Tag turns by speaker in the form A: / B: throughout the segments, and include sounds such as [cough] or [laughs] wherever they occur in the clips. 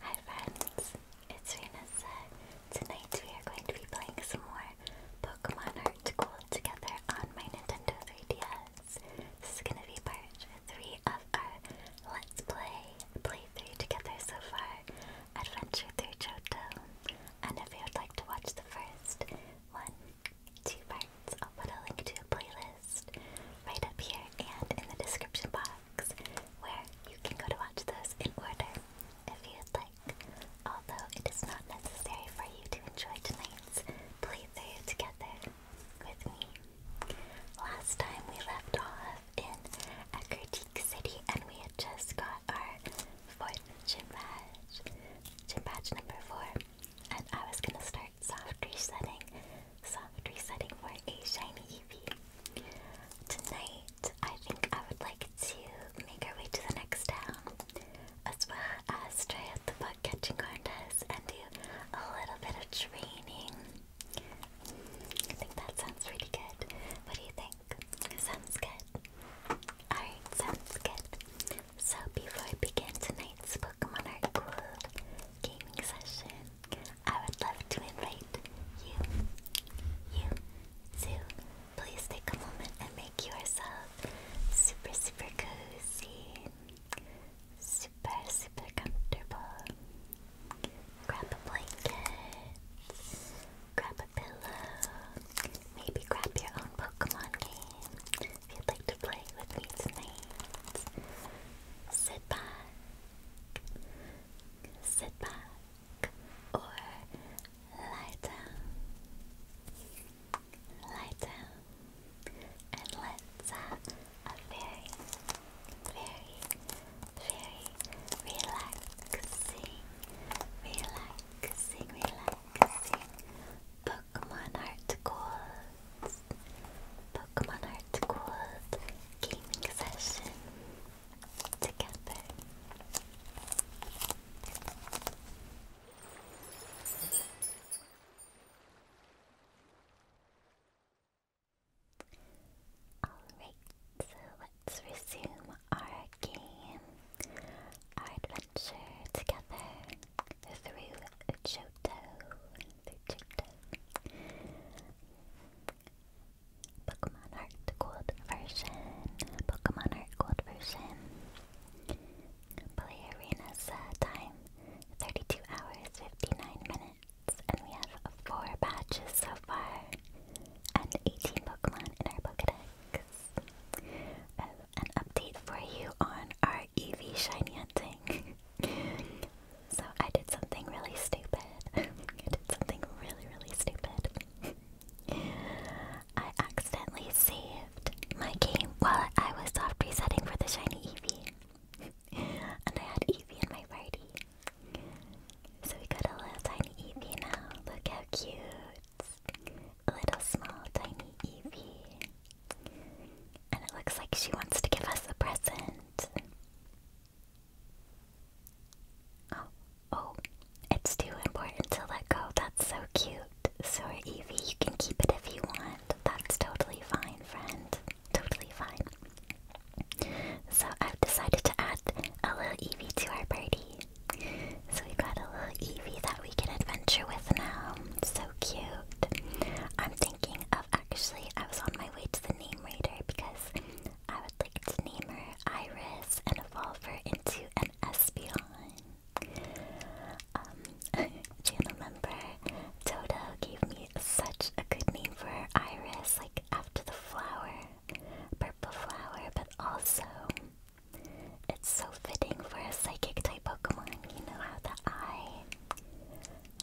A: Hi friends, it's Venus. Tonight we are going to be playing some more Pokemon Heart Gold together on my Nintendo 3DS. This is going to be part 3 of our Let's Play Play Three together so far, Adventure through Johto. And if you would like to watch the first one, two parts, I'll put a link to a playlist right up here and in the description box where you can go to watch those in order if you'd like. Although it is not necessary for you to enjoy tonight's playthrough together with me. Last time we left off in Akertik City and we had just got our fourth gym badge, gym badge number four. And I was gonna start soft resetting. Soft resetting for a shiny Eevee. Tonight, I think I would like to make our way to the next town, as well as try out the bug catching contest and do a little bit of training. that sounds pretty good. What do you think? Sounds good. Alright, sounds good. So, before I begin tonight's Pokemon Art World gaming session, I would love to invite you, you, to please take a moment and make yourself super, super cozy, super, super comfortable. Grab a blanket, grab a pillow, maybe grab your own Pokemon game if you'd like to play with me tonight. Sit back sit back, or lie down, lie down, and let's have a very, very, very relaxing, relaxing, relaxing Pokemon Heart Goals this Pokemon Hardcore gaming session together. Alright, so let's resume our game, our adventure together through Johto. Pokemon Heart Gold version. Pokemon Heart Gold version. Play arenas uh, time 32 hours 59 minutes, and we have four batches so far, and 18 Pokemon in our Pokedex. Uh, an update for you on our EV shiny hunting. [laughs] so I did something really stupid. [laughs] I did something really, really stupid. [laughs] I accidentally saved my game while I was soft resetting for the shiny Eevee. [laughs] and I had Eevee in my party. So we got a little tiny Eevee now. Look how cute. A little small tiny Eevee. And it looks like she wants to give us a present. Oh, oh, it's too important to let go. That's so cute. So Evie, you can keep it if you want. That's totally fine, friend. Totally fine. So I've decided to add a little Evie to our party. So we've got a little Evie that we can adventure with now. So cute. I'm thinking of. Oh, actually, I was on my way to the name raider because I would like to name her Iris and evolve her into an Espeon. Um, channel [laughs] member Toto gave me such a good name for Iris, like after the flower, purple flower, but also it's so fitting for a psychic type Pokemon, you know how the eye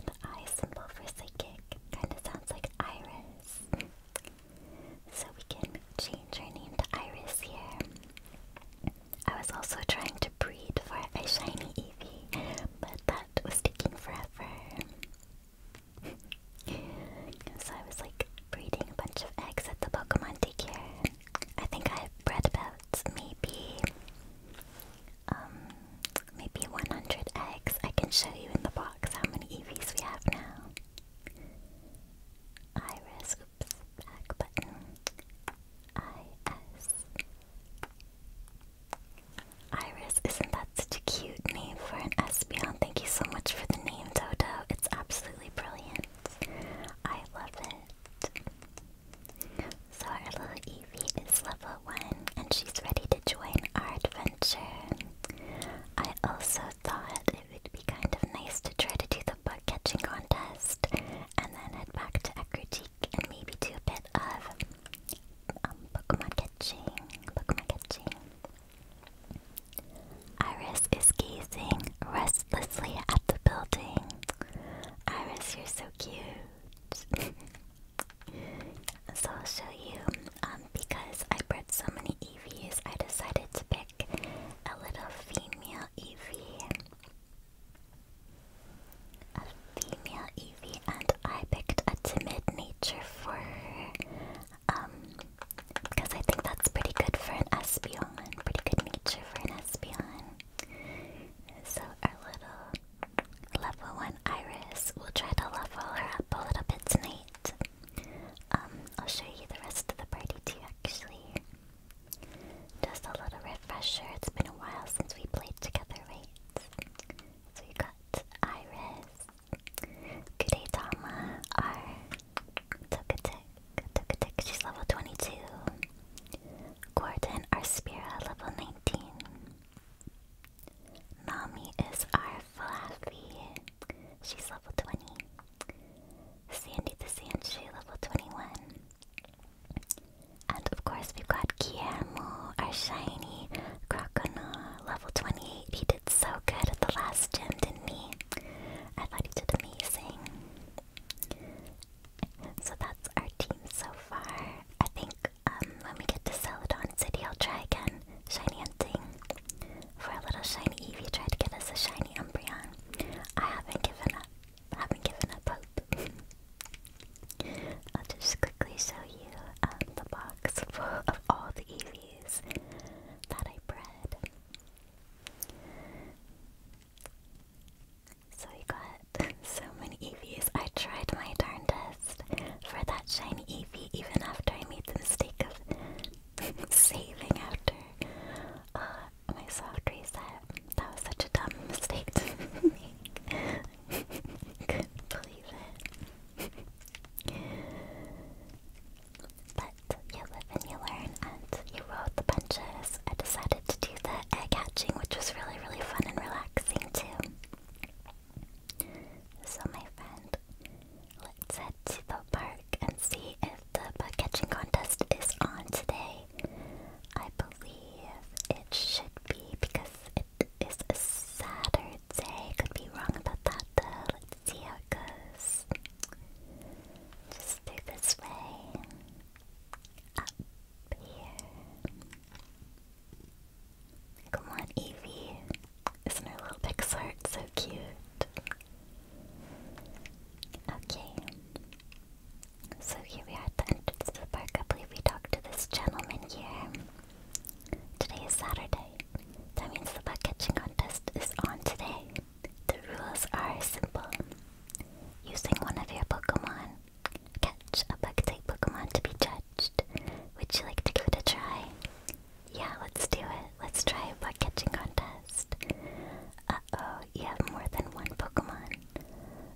A: an I symbol for psychic. Kind of sounds like iris. So we can change her name to Iris here. I was also trying to breed for a shiny Eevee, but that was taking forever. [laughs] so I was like breeding a bunch of eggs at the Pokemon daycare. I think I bred about maybe um, maybe 100 eggs. I can show you in the box how many EVs we have now. Iris, oops, back button. IS. Iris, isn't that such a cute name for an Espeon? Thank you so much for the name, Dodo. It's absolutely brilliant. I love it. So our little Eevee is level one and she's ready to join our adventure. I also thought it would be kind of nice to try to do the bug catching contest and then head back to Ekrutik and maybe do a bit of um, Pokemon catching. Pokemon catching. Iris is gazing restlessly at the building. Iris, you're so cute. [laughs] So I'll show you, um, because I bred so many EVs, I decided to pick a little female EV. A female Eevee, and I picked a timid nature for her. Um, because I think that's pretty good for an Espeon. Pretty good nature for an Espeon. So our little Level 1 Iris. We'll try to level her up a little bit tonight. Um, I'll show you the rest of the party too, actually. Just a little refresher. It's been a while since we played together, right? So we have got Iris, Kudetama, R, Tokatek, Tokatek, she's level 22. Gordon, our Spira, level 19. Mommy is our Fluffy. She's level 20. Sandy the Sandshoe, level 21. And of course, we've got Guillermo, our shiny Croconaw, level 28. He did so good at the last gym, didn't he? I thought he did amazing. So that's our team so far. I think when um, we get to Celadon City, I'll try again. Shiny hunting. For a little shiny Eevee tried to get us a shiny Umbreon. I haven't given up. haven't given up hope. [laughs] I'll just quickly show you um, the box of all the Eevees that I bred. So we got [laughs] so many Eevees. I tried my darndest for that shiny EV, even after I made the mistake of [laughs] saving after uh, my soft reset. That was such a dumb mistake to [laughs] make. [laughs] believe it. But you live and you learn, and you rode the punches. I decided to do the egg hatching, which was really, really fun and relaxing too. So my friend, let's head to the park and see if the bug catching contest is on today. I believe it should be because it is a Saturday. Could be wrong about that though. Let's see how it goes. Just through this way. Up here. Come on, Evie. Isn't her little pixart so cute? Okay. So here we are at the entrance to the park. I believe we talked to this gentleman here. Today is Saturday. That means the bug catching contest is on today. The rules are simple. Using one of your Pokemon, catch a bug type Pokemon to be judged. Would you like to go to try? Yeah, let's do it. Let's try a bug catching contest. Uh oh, you have more than one Pokemon.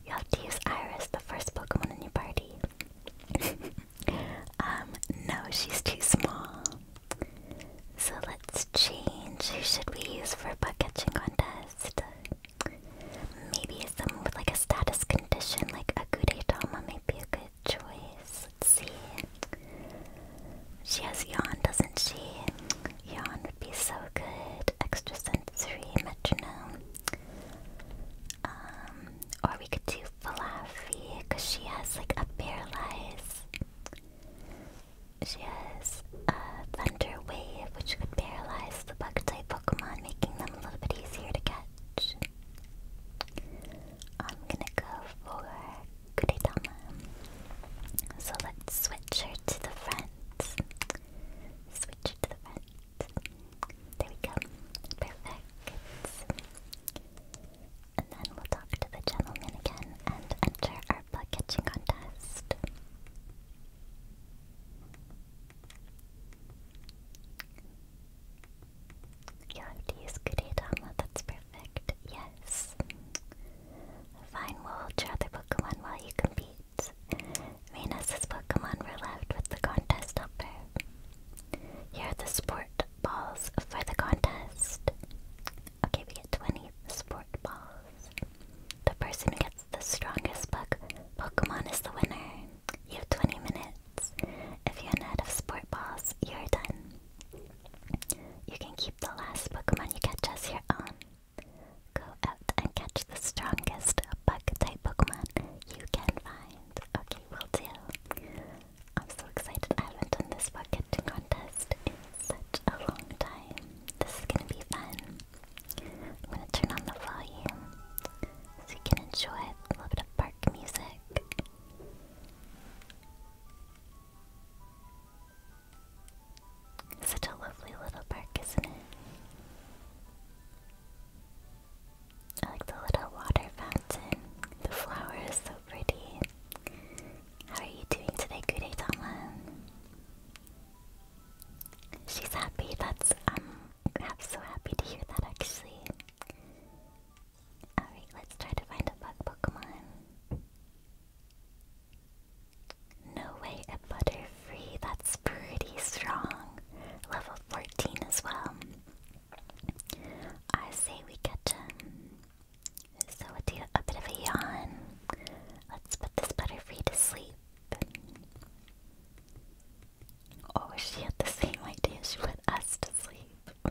A: You have to use Iris, the first Pokemon in your party. [laughs] um, no, she's too small. So let's change. Who should we use for a bug catching contest? Maybe someone with like a status condition, like a Gudetama might be a good choice. see. She has yawn, doesn't she? Yawn would be so good. Extrasensory metronome. Um, or we could do Fluffy because she has like a paralyze. She has a thunder wave, which could paralyze the bug type Pokemon, making them a little bit easier to catch. I'm gonna go for Kuretama. So let's switch her to the front. Switch her to the front. There we go. Perfect. And then we'll talk to the gentleman again and enter our bug catching contest. You'll have to that's perfect. Yes. Fine, we'll watch other Pokemon while you compete. Venus's Pokemon were left with the contest helper. Here are the sport balls for the contest. Okay, we get 20 sport balls. The person who gets the strongest book Pokemon is the winner. You have 20 minutes if you are out of sport balls, you're done. You can keep the last Pokemon you catch as your own. Go out and catch the strongest bug-type Pokemon you can find. Okay, will do. I'm so excited. I haven't done this Pokemon contest in such a long time. This is gonna be fun. I'm gonna turn on the volume so you can enjoy a little bit of park music. Such a lovely little park, isn't it? I like the little water fountain. The flower is so pretty. How are you doing today, Kuretama? She's happy. That's um, I'm so happy to hear that actually. Alright, let's try to find a bug Pokemon. No way a Butterfree, that's pretty strong. Level 14 as well. I say we get him. So with a bit of a yawn, let's put this Butterfree to sleep. Oh, she had the same idea, she put us to sleep. [laughs]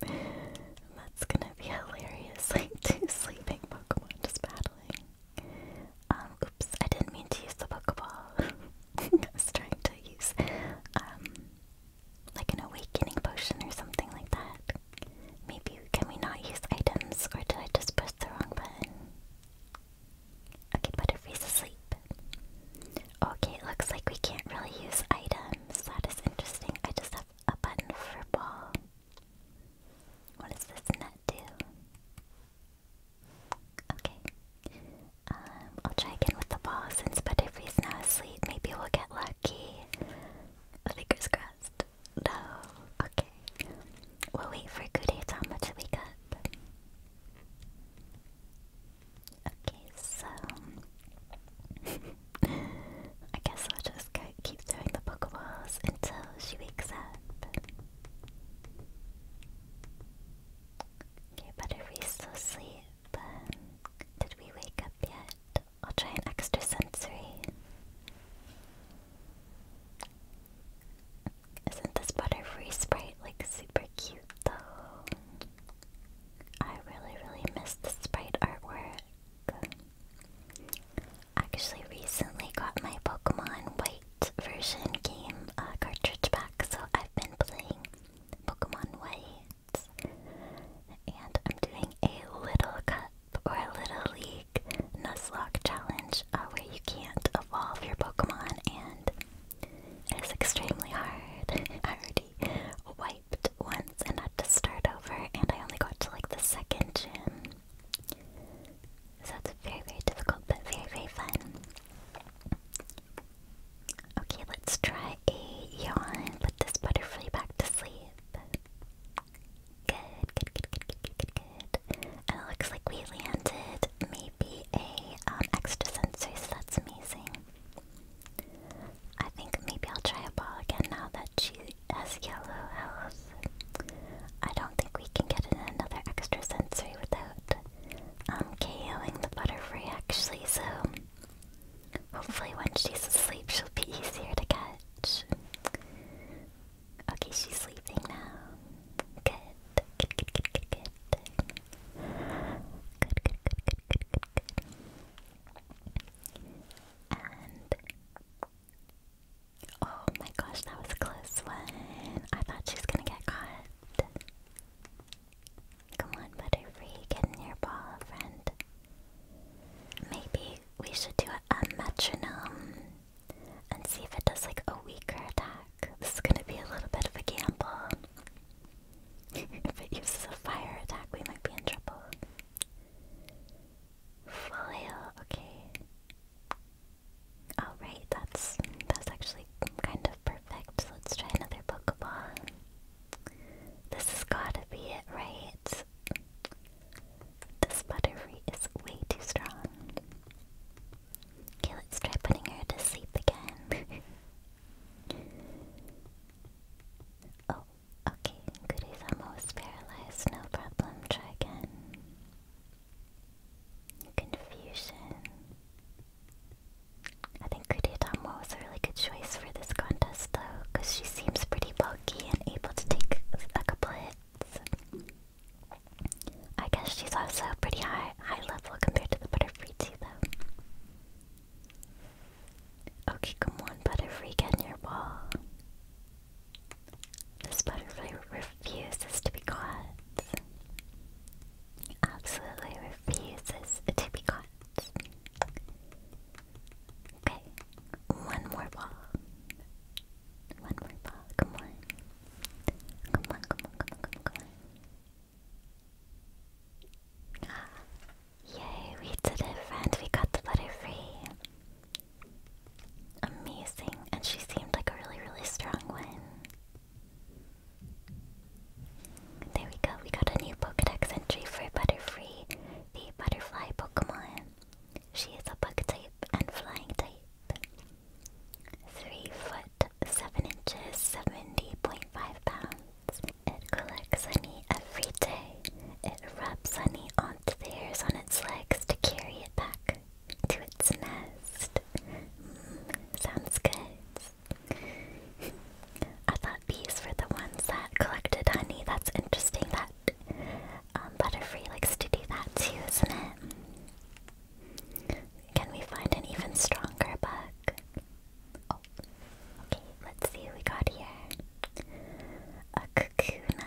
A: That's gonna be hilarious. [laughs] two sleeping Pokemon just battling. Um, oops, I didn't mean to use the Pokeball. [laughs] I was trying to use um, like an awakening potion or something like that. Maybe can we not use items or did I just press the wrong button? Okay, Butterfree's asleep. Okay, it looks like we can't really use items. That is interesting. I just have a button for ball. What does this net do? Okay. Um, I'll try again with the ball since Butterfree's now asleep. Maybe we'll get lucky. Oh, fingers crossed. No. Okay. We'll wait for Kudetama to wake up. Okay, so [laughs] I guess I'll just keep throwing the Pokeballs until she wakes up. Okay, Butterfree's still asleep. Um, did we wake up yet? I'll try an extra sensory. Isn't this Butterfree sprite like super cute though? I really, really miss the sprite artwork. Actually, recently got my Pokemon White version game uh, cartridge back, so I've been playing Pokemon White, and I'm doing a Little Cup or a Little League Nuzlocke challenge uh, where you can't evolve your Pokemon, and it is extremely hard. [laughs] I already white once and had to start over, and I only got to like the second gym. So it's very, very difficult, but very, very fun. Okay, let's try a yawn. Put this butterfly back to sleep. Good, good, good, good, good, good, good, it looks like we landed maybe a um, extra that's amazing. I think maybe I'll try a ball again now that she has yellow eyes. I don't think we can get another extra sensory without um, KOing the butterfly actually, so hopefully when she's asleep she'll be easier to catch. Okay, she's sleeping now. good, good, good, good. Good, good, good, good, good, good, good. And oh my gosh, that was a close one. I thought she was gonna get caught. Come on, Butterfree, get in your ball, friend. Maybe we should do a metronome and see if it does like a weaker attack. This is gonna be a little bit of a gamble. [laughs] if it uses a fire attack, we might be in trouble. Foil, okay. Alright, oh, that's that's actually kind of perfect. Let's try another Pokeball. This has gotta be it, right? This buttery is way too strong. Okay, let's try putting her to sleep again. [laughs] oh, Okay, Goody's almost paralyzed, no problem, try again. Confusion. I think Kudetamo was a really good choice for this contest though, because she seems pretty bulky and able to take a couple hits. I guess she's also pretty high high level compared to the Butterfree too though. Okay, come on, butterfly, get in your ball. This butterfly refuses to be caught. Absolutely refuses to be caught. Okay, one more ball. One more ball, come on. Come on, come on, come on, come on, ah. Yay, we did it, friend. We got the Butterfree. Amazing. And she seemed like a really, really strong one. There we go. We got a new Pokedex entry for Butterfree, the butterfly Pokemon. She is a bug type and flying type. 3 foot 7 inches, 70.5 pounds. It collects honey every day. It rubs honey onto the hairs on its legs to carry it back to its nest. Mm, sounds good. I thought bees were the ones that collected honey. That's interesting that um, likes to do that too, isn't it? Can we find an even stronger bug? Oh, Okay, let's see what we got here. A Kakuna.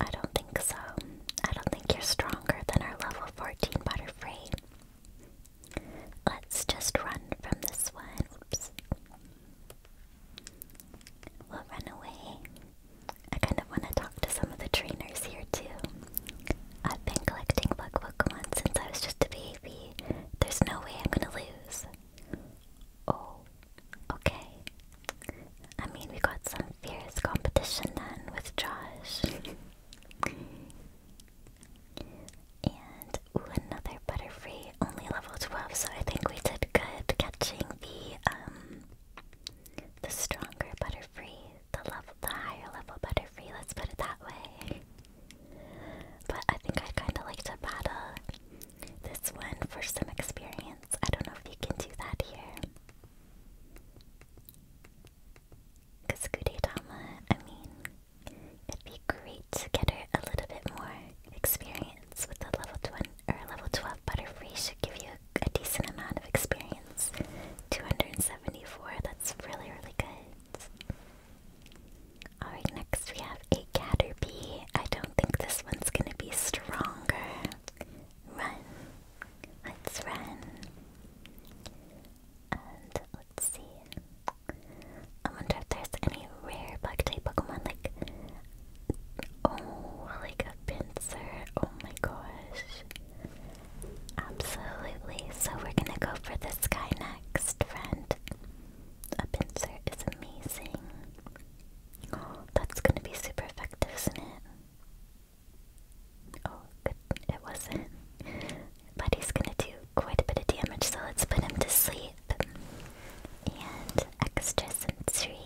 A: I don't think so. I don't think you're stronger than our level 14 Butterfree. Let's just run from this one. Oops. We'll run away. I kind of want to talk to some of the trainers here too. I've been collecting bug Pokemon since I was just a baby. There's no way I'm gonna lose. Oh, okay. I mean, we got some fierce competition then with Josh. and, ooh, another Butterfree, only level 12, so I think we did good catching the, um, the stronger Butterfree, the level, the higher level Butterfree, let's put it that way. But I think I'd kind of like to battle this one for some experience. I don't know if you can do that here. Because Kudetama, I mean, it'd be great to get her a little bit more experience with the level 20 or level 12 Butterfree should give you a decent amount of experience. 274, that's really, really good. Alright, next we have a Caterpie. I don't think this one's gonna be stronger. Run. Let's run. And let's see. I wonder if there's any rare bug type Pokemon like Oh, like a pincer. Oh my gosh. Absolutely. So we're gonna go for this guy next, friend. A pincer is amazing. that's gonna be super effective, isn't it? Oh, It wasn't. But he's gonna do quite a bit of damage, so let's put him to sleep. And extra sensory.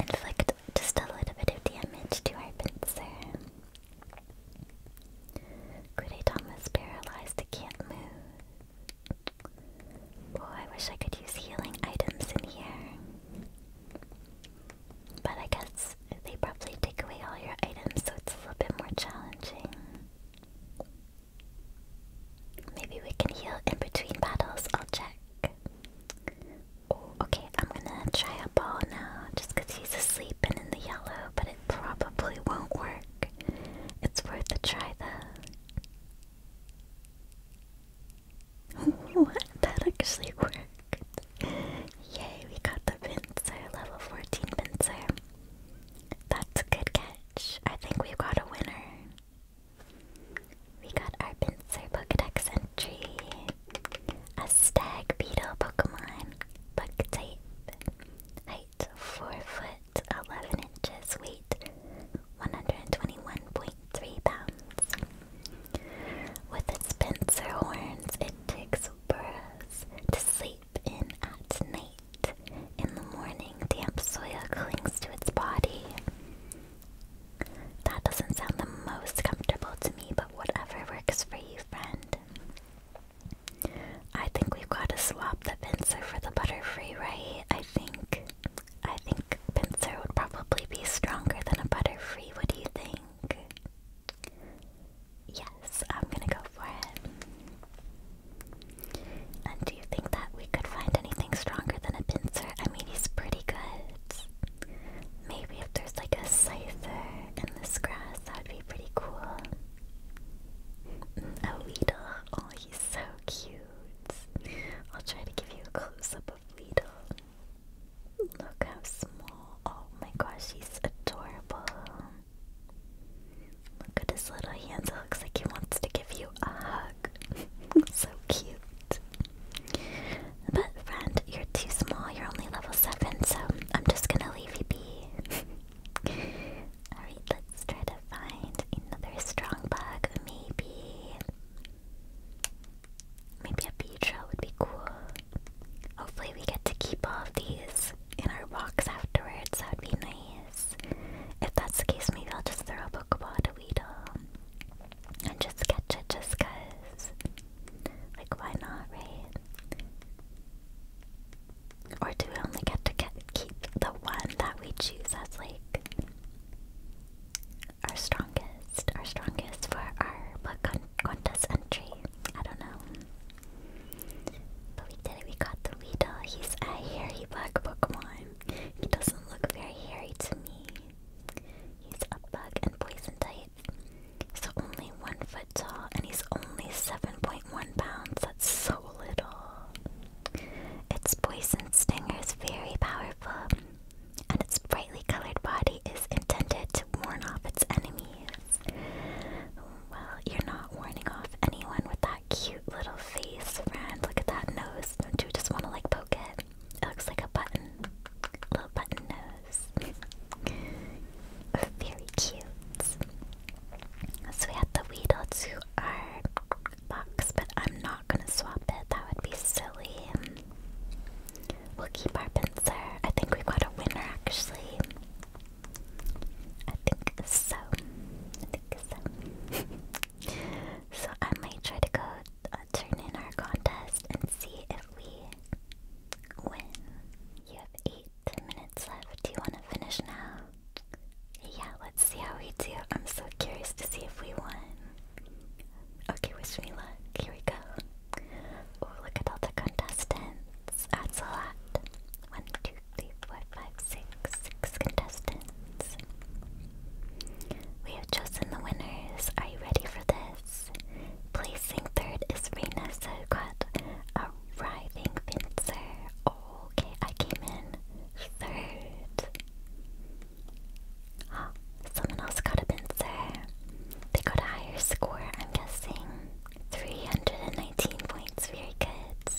A: Inflict just a little bit of damage to our pincer. Kude Thomas paralyzed, it can't move. Oh, I wish I could use healing items in here. But I guess they probably take away all your items, so it's a little bit more challenging. Maybe we can heal in between battles, I'll check. okay, I'm gonna try a ball now, just he's asleep and in the yellow, but it probably won't work. It's worth a try though. What? That actually worked. Yay, we got the pincer, level 14 pincer. That's a good catch. I think we've got a winner. We got our pincer Pokedex entry. A stag beetle Pokemon. Bug type. Height 4 foot. 11 inches, weight 121.3 pounds. With its pincer horns, it digs burrows to sleep in at night. In the morning, damp soil clings to its body. That doesn't sound the most comfortable to me, but whatever works for you, friend. I think we've got to swap the pincer for the butterfree, right? I think I think pincer would probably be stronger than a butterfree. What do you think? Yes, I'm gonna go for it. And do you think that we could find anything stronger than a pincer? I mean, he's pretty good. Maybe if there's like a scyther in this grass, that would be pretty cool. Mm, a Weedle, oh, he's so cute. I'll try to give you a close up of Lidl. Look how small. Oh my gosh, he's adorable. Look at his little hands. It looks like he wants to give you a hug. [laughs] so cute. But, friend, you're too small. You're only level 7, so I'm just gonna leave you be. [laughs] Alright, let's try to find another strong bug. Maybe. Maybe a Beedrill would be cool. Hopefully, we get to keep all of these in our walks afterwards. That would be nice. If that's the case, maybe I'll just throw a Pokeball at a Weedle and just catch it just because. Like, why not, right? Or do we only get to keep the one that we choose as, like, our strongest, our strongest for our what contest entry. I don't know. But we did it, we got the Weedle. He's a hairy black Pokemon. He doesn't look very hairy to me. He's a bug and poison type. So only one foot tall and he's only 7.1 pounds. That's so little. Its poison stinger is very powerful, and its brightly colored body is intended to warn off its enemies. Well, you're not warning off anyone with that cute little face, friend. Look at that nose. Don't you just want to like poke it? It looks like a button. Little button nose. [laughs] Very cute. So we had the Weedle to our box, but I'm not gonna swap it. That would be silly. We'll keep our pincer. I think we got a winner actually. I think so. I think so. [laughs] so I might try to go uh, turn in our contest and see if we win. You have eight minutes left. Do you want to finish now? Yeah, let's see how we do. I'm so curious to see if we won. Okay, wish me luck. Here we go. Oh, look at all the contestants. That's a lot. One, two, three, contestants. We have chosen the winners. Are you ready for this? Placing third is Reina Serquat, a writhing fencer. Okay, I came in third. Oh, someone else got a pincer. They got a higher score, I'm guessing. 319 points, very good.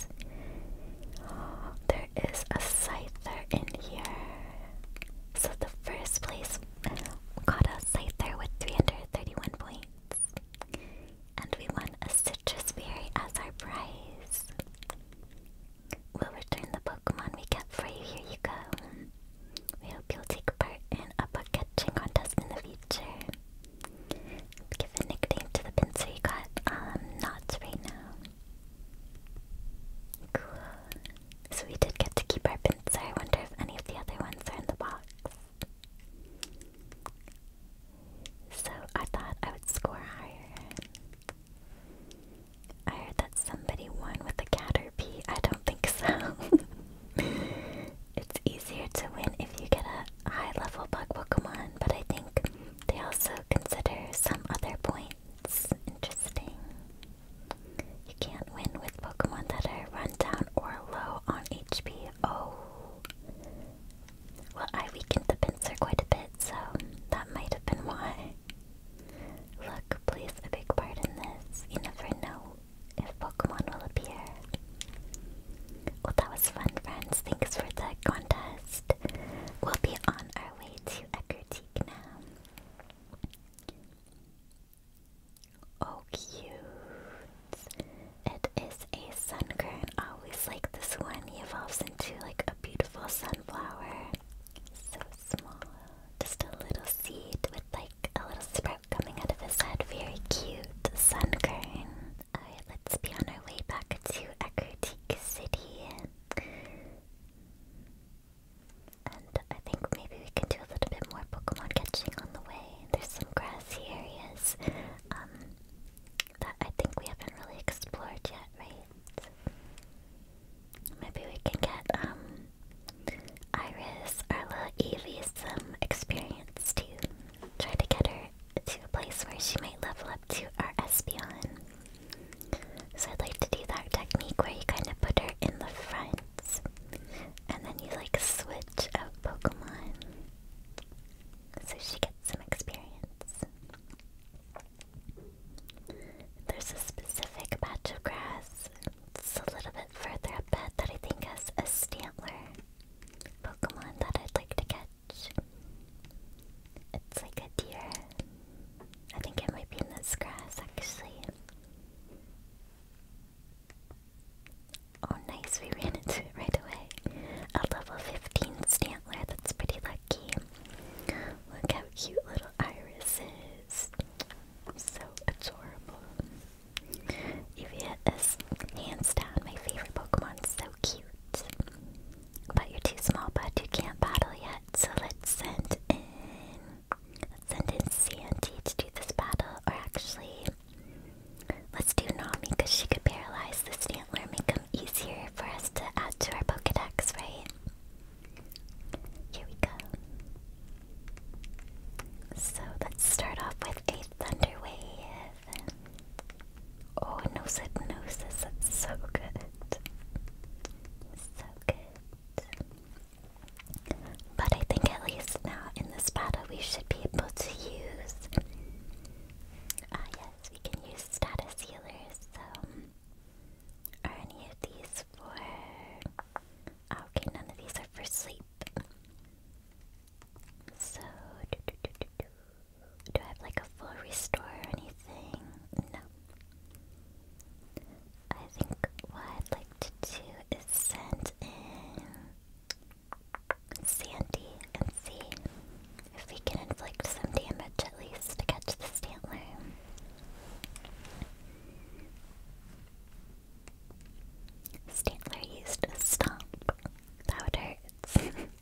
A: Oh, there is a Scyther in here. So the first place got a Scyther with 331 points. And we won a citrus berry as our prize. We'll return the Pokemon we got for you. Here you go. We hope you'll take part in a Pokemon catching contest in the future. Give a nickname to the pincer you got. Um, knots right now. Cool. So we did get to keep our pincer. I wonder if any of the other ones are in the box. So I thought I would score higher. I heard that somebody won with a Caterpie. I don't think so. [laughs] it's easier to win if you get a high level bug Pokemon, but I think they also consider some other points interesting. You can't win with Pokemon that are run down or low on HP. Oh. Well, I weakened the pincer quite a bit, so that might have been why. Luck plays a big part in this. You never know if Pokemon will appear. Well, that was fun, friends. Thanks for the contest. We'll be on our way to Ecruteak now. Oh, cute. It is a sunkern. I always like this one. He evolves into like a beautiful sunflower. So small. Just a little seed with like a little sprout coming out of his head. Very cute. Sunkern. Alright, let's be on our way back to Akritik City. And I think maybe we can do a little bit more Pokemon catching on the way. There's some grassy areas um, that I think we haven't really explored yet, mates. Maybe we can get um, Iris, our little Evie, some experience to try to get her to a place where she might level up to our Espion. So I'd like to do that technique where you kind of put her in the front and then you like switch out Pokemon so she gets some experience. There's a specific patch of grass, it's a little bit further up that I think has a Stantler Pokemon that I'd like to catch. It's like a deer. I think it might be in this grass actually. Oh nice, we [laughs] ran into it right away. A level 15 Stantler, that's pretty lucky. Look how cute little Iris is. So adorable. Eevee is hands down my favorite Pokemon. So cute. But you're too small, bud. You can't battle yet. So let's send in. send in Sandy to do this battle. Or actually, let's do Nami she could paralyze the Stantler make them easier for us to add to our Pokedex, right? Here we go. So let's start off with a thunder wave. Oh, nose it, nose this. so good. So good. But I think at least now in this battle we should be able to use. Ah, yes, we can use status healers. So are any of these for... okay, none of these are for sleep. So, do I have like a full restore or anything? No. I think what I'd like to do is send in Sandy and see if we can inflict some damage at least to catch the Stantler. Stantler used a stomp. That would hurt.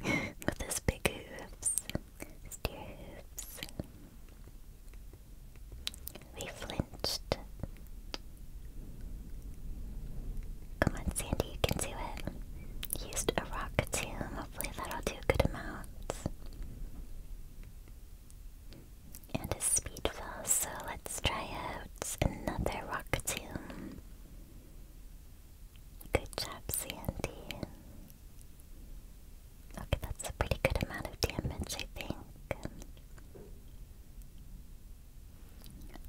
A: [laughs] With his big hooves. His hooves. We flinched. Come on, Sandy, you can do it. Used a rock tomb. Hopefully that'll do a good amount. And a speed fell, so let's try out another rock tomb. Good job, Sandy. Okay, that's a pretty good amount of damage, I think.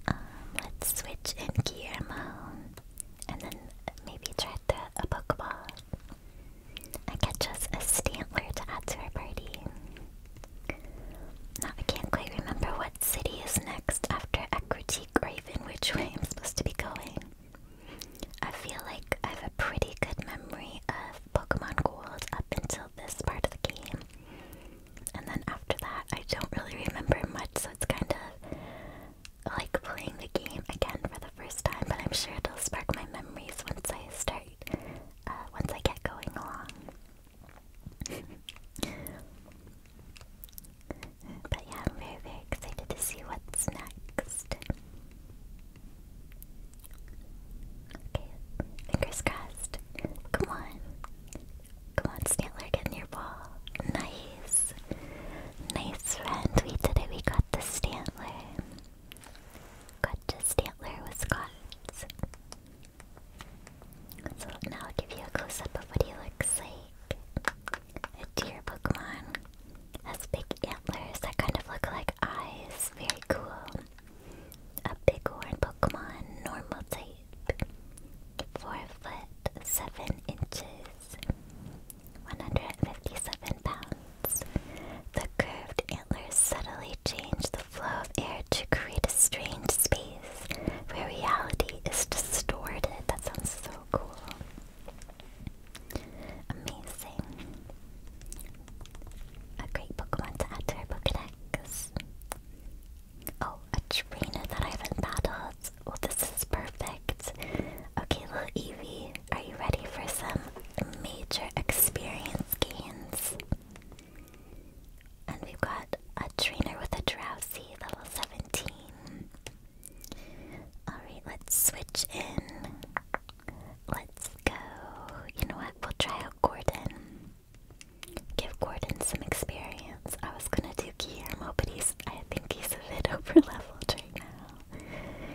A: Um, let's switch in Guillermo, and then maybe try the, a Pokeball. I get just a Stantler to add to our party. Now I can't quite remember what city is next after Ekrutik or even which way I'm supposed to be going. I feel like I have a pretty good memory of Pokemon Gold up until this part of the game. And then after that, I don't really remember much, so it's kind of like playing the game again for the first time, but I'm sure it'll spark my memories once I I start uh, once I get going along. [laughs] but yeah, I'm very, excited to see what's next. fingers crossed. Come on. Come on, Snantler, get in your ball. Nice. Nice friend. We did it. We got the Stantler. Got a Stantler with Scots. now I'll give you a close up of what he looks like. A deer Pokemon. Has big antlers that kind of look like eyes. Very cool. A big horn Pokemon, normal type. Four foot seven inches. 157 pounds. The curved antlers subtly change the flow of air to create a strange space where reality is distorted. That sounds so cool. Amazing. A great Pokemon to add to our Pokedex. Oh, a trainer that I have battled. Well, this is perfect. Okay, little Eevee are you ready for some major experience gains? And we've got a trainer with a drowsy, level 17. Alright, let's switch in. Let's go. You know what? We'll try out Gordon. Give Gordon some experience. I was gonna do Guillermo, but he's I think he's a bit [laughs] over leveled right now.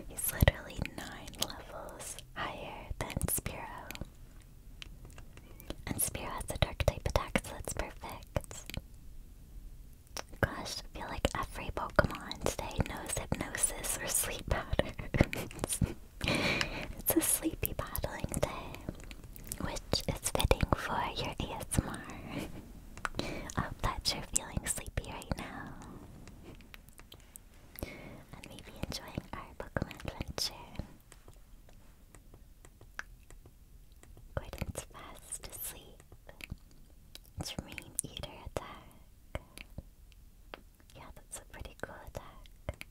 A: He's literally nine levels higher than Spiro. And Spiro a dark type attack, so that's perfect. Gosh, I feel like every Pokemon today knows hypnosis or sleep [laughs] powder. it's a sleepy battling day, which is fitting for your ASMR. I hope that you're feeling sleepy right now and maybe enjoying our Pokemon adventure. Gordon's fast asleep. Dream Eater attack. Yeah, that's a pretty cool attack.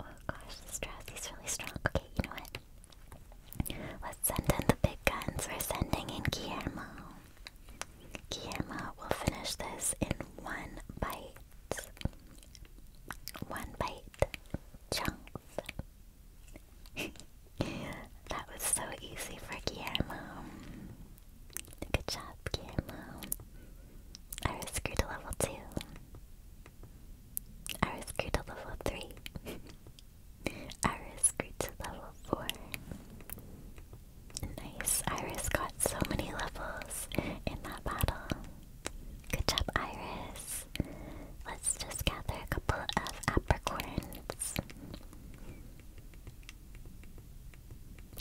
A: Oh gosh, this Drowsy's really strong. Okay, you know what? Let's send in the big guns. We're sending in Guillermo. Kiyama will finish this in one bite. One bite. Chunk. [laughs] that was so easy for Guillermo. Good job, Guillermo. I was screwed to level 2. I was screwed to level 3. I was [laughs] screwed to level 4. Nice. Iris got so many levels in that battle. Good job, Iris. Let's just gather a couple of apricorns.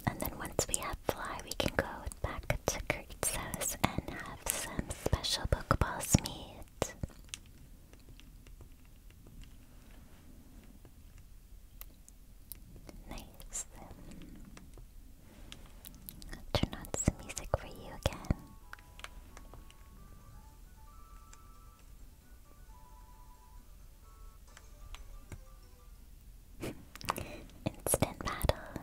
A: And then once we have Fly, we can go back to Kurt's house and have some special Pokeballs meet. Nice. turn on some music for you again. [laughs] Instant battle.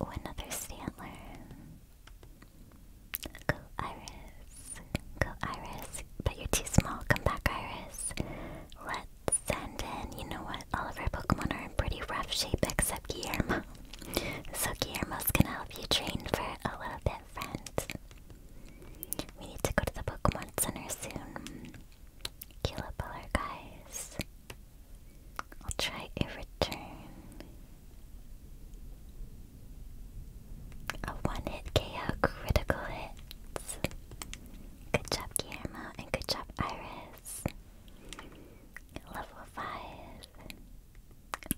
A: Oh, another Stantler. Go Iris. Go Iris. But you're too small. Come back, Iris. Let let you know what, all of our Pokemon are in pretty rough shape except Guillermo. [laughs] So Guillermo's gonna help you train for a little bit, friend. We need to go to the Pokemon Center soon. Killer guys. I'll try a return. A one hit KO critical hit. Good job, Guillermo, and good job, Iris. Level 5.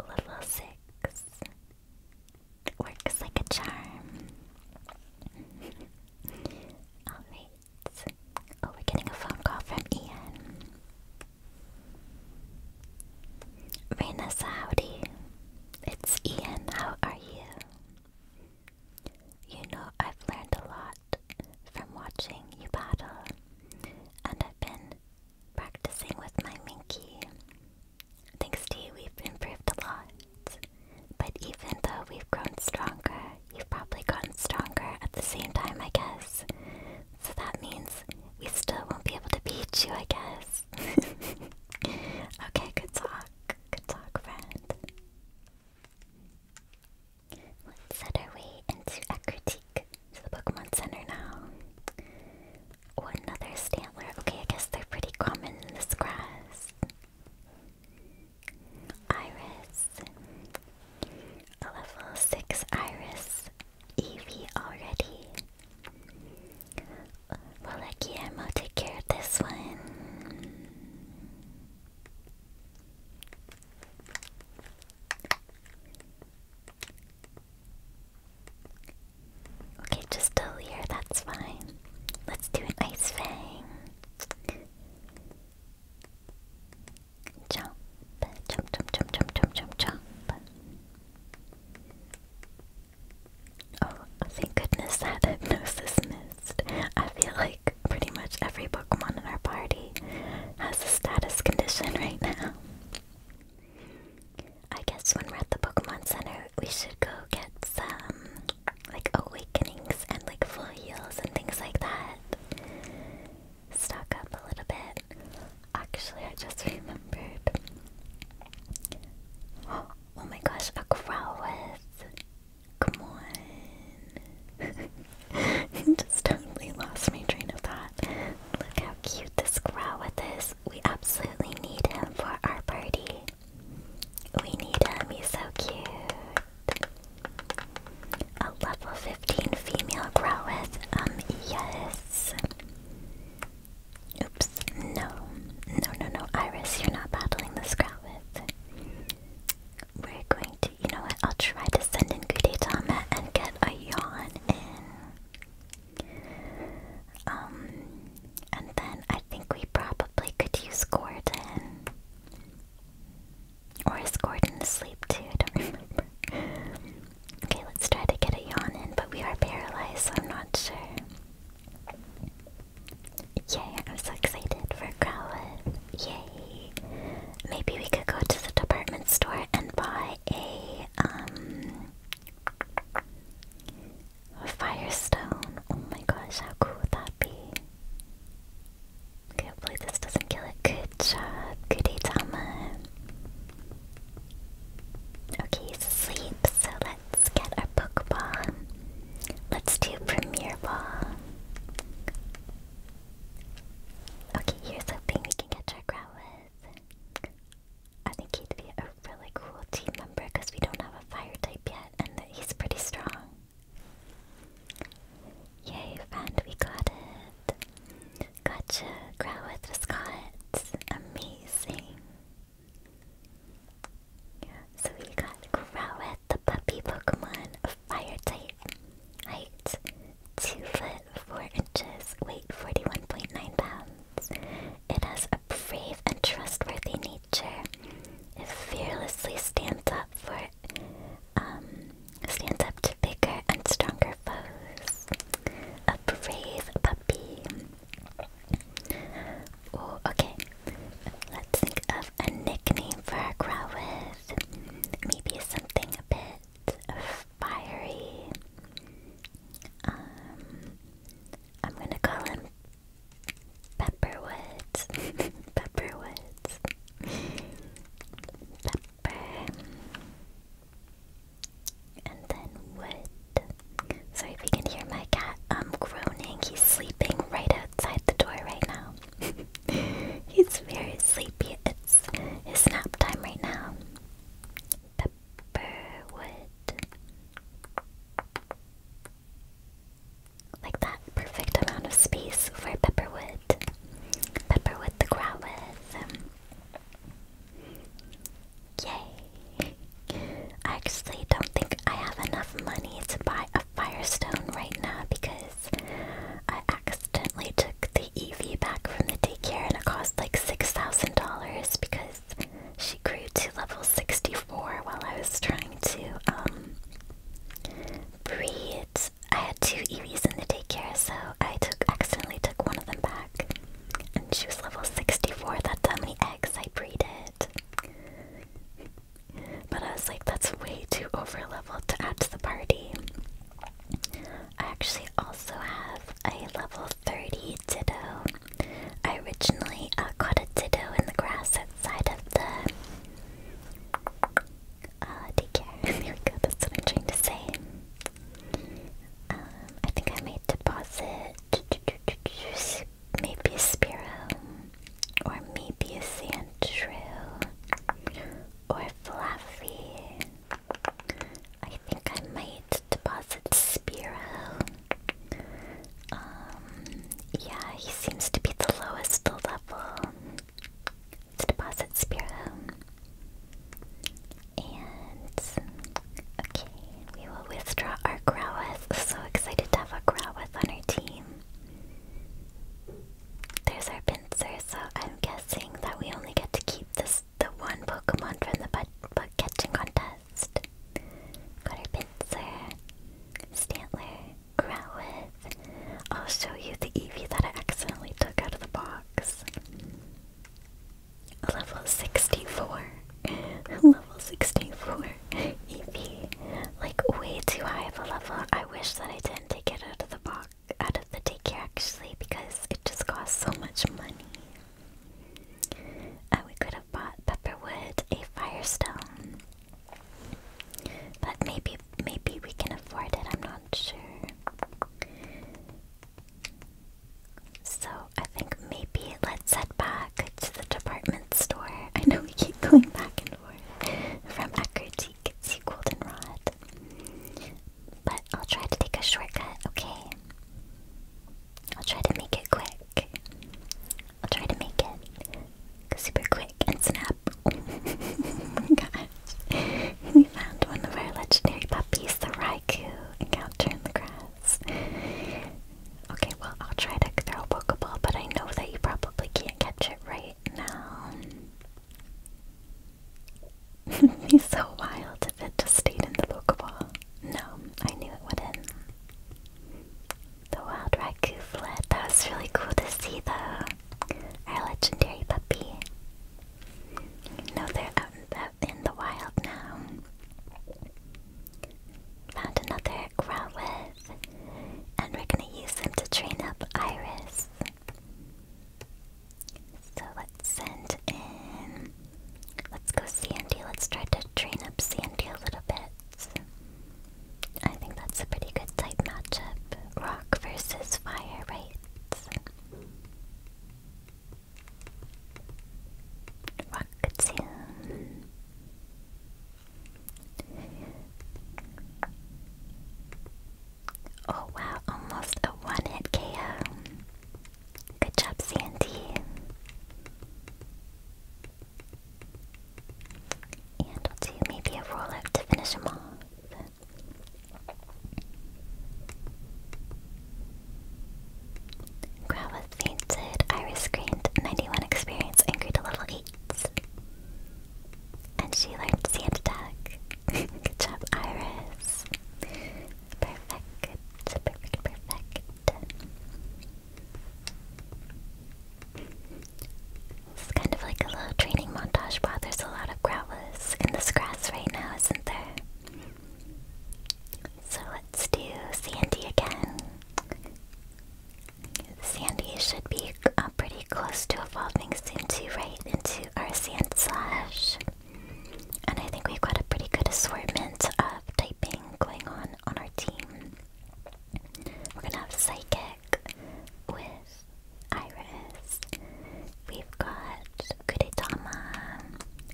A: Level 6. Works like a charm. [laughs] Alright. Oh, we're getting a phone call from Ian. Raina howdy. It's Ian, how are you? You know, I've learned a lot from watching you battle, and I've been practicing with my Minky. Thanks to you, we've improved a lot. But even though we've grown stronger, you've probably gotten stronger at the same time, I guess. So that means we still won't be able to beat you, I guess. [laughs] okay, good talk. Good talk, friend. Let's set our way into Ekrutik, to the Pokemon Center now. Oh, another Stantler. Okay, I guess they're pretty common in this grass. Iris. A level 6 Iris. EV already. Well, Lucky Ammo, take care of this one. Okay, just a here. that's fine. Let's do an ice fang. Jump, jump, jump, jump, jump, jump, jump, Oh, thank goodness that hypnosis I feel like pretty much every Pokemon in our party has a status condition [laughs] right now. I guess when we're at the Pokemon Center, we should go get some, like, awakenings and, like, full heals and things like that. Stock up a little bit. Actually, I just remembered. Oh, [gasps] oh my gosh, a Growlithe. Come on. [laughs] Just totally lost my train of thought. Look how cute this Growlithe is. We absolutely need him for our party. We need him, he's so cute. A level 15 female Growlithe. Um, yes. Oops, no. No, no, no, Iris, you're not battling this Growlithe. We're going to, you know what, I'll try to send in Kudetama and get a yawn in. Um, and then I think we probably could use Gordon. Or is Gordon asleep too? I don't [laughs] remember. okay, let's try to get a yawn in, but we are paralyzed, so I'm not sure. Yay, I'm so excited for Growlithe. Yay. Maybe we could go to the department store and buy a, um, firestone. Oh my gosh, how cool would that be? Can't believe this doesn't kill it. Good job, Kudetama. Okay, he's asleep, so let's get our Pokeball. Let's do Premier Ball. Okay, here's hoping we can get Chakra with. I think he'd be a really cool team member because we don't have a fire type yet and he's pretty strong. Yay, friend, we got it. Gotcha, Growlithe was Amazing. Yeah, so we got Growlithe, the puppy Pokemon, a Fire type, height 2 foot 4 inches, weight 41.9 pounds. It has a brave and trustworthy nature. It fearlessly stands up for um stands up to bigger and stronger foes. A brave puppy. Oh, okay. Let's think of a nickname for our Growlithe. Maybe something a bit fiery. Um, I'm gonna call him Pepperwoods. [laughs] Pepperwoods. Pepper. And then wood. Sorry if you can hear my cat I'm um, groaning. He's sleeping right outside the door right now. He's [laughs] very sleepy. It's his nap time right now. Pepperwood. Like that perfect amount of space for Pepperwood. Pepperwood the Growlithe. Um, yay! I actually don't think I have enough money to buy a Firestone right now because I accidentally took the EV back from the daycare and it cost like $6,000 because she grew to level 64 while I was trying to, um, breed. I had two EVs in the daycare, so I took accidentally took one of them back. And she was level 64, that's how many eggs I bred it. But I was like, that's way too over leveled to add to the party. I actually also have a level 30 Ditto. I originally uh, caught a Ditto in the grass outside of the. Uh, daycare. [laughs] there we go, that's what I'm trying to say. Um, I think I made deposit. Maybe Spiro. Or maybe a Sandshrew. Or Fluffy. I think I might deposit Spiro. Um, yeah, he seems to be the lowest level. deposit Spiro. And, okay, we will withdraw our Growlithe. So excited to have a Growlithe on our team. There's our pincer, so I'm guessing that we only get to keep this the one Pokemon from the but butt catching contest. Got our pincer, Stantler, Growlithe. I'll show you the EV that I accidentally took out of the box. Level 64. [laughs] Level 64. EV like way too high of a level. I wish that I didn't take it out of the box, out of the daycare actually, because it just costs so much money. Uh, we could have bought Pepperwood a Firestone, but maybe maybe we can afford it. I'm not sure. So I think maybe let's head back to the department store. I know we keep going back and forth from Eckerd seek, goldenrod. But I'll try to take a shortcut, okay? I'll try to make it quick. I'll try to make it super quick and snap. [laughs] Oh we found one of our legendary puppies, the Raikou, encounter in the grass. Okay, well, I'll try to throw a Pokeball, but I know that you probably can't catch it right now. It'd [laughs] be so wild if it just stayed in the Pokeball. No, I knew it wouldn't. The wild Raikou fled. That was really cool to see, though. Our legendary puppy. No, they're out and about in the wild now. Found another Growlithe, and we're gonna use them to train up Iris. So let's send in. Let's go Sandy. Let's try to train up Sandy a little bit. I think that's a pretty good type matchup. Rock versus fire, right? Rockatoon. Oh wow, almost a one hit KO. Good job, Sandy. And I'll do maybe a rollout to finish him off. Growlithe fainted, Iris screamed, 91 experience, and grew to and she learned Santa Duck. [laughs] Good job, Iris. Perfect. Perfect, perfect. It's kind of like a little training montage. Wow, there's a lot of growlers in this grass right now, isn't there? So let's do Sandy again. Sandy should be uh, pretty close to evolving into right into our sand slash. And I think we've got a pretty good assortment of typing going on on our team. We're gonna have Psychic with Iris. We've got Kudetama,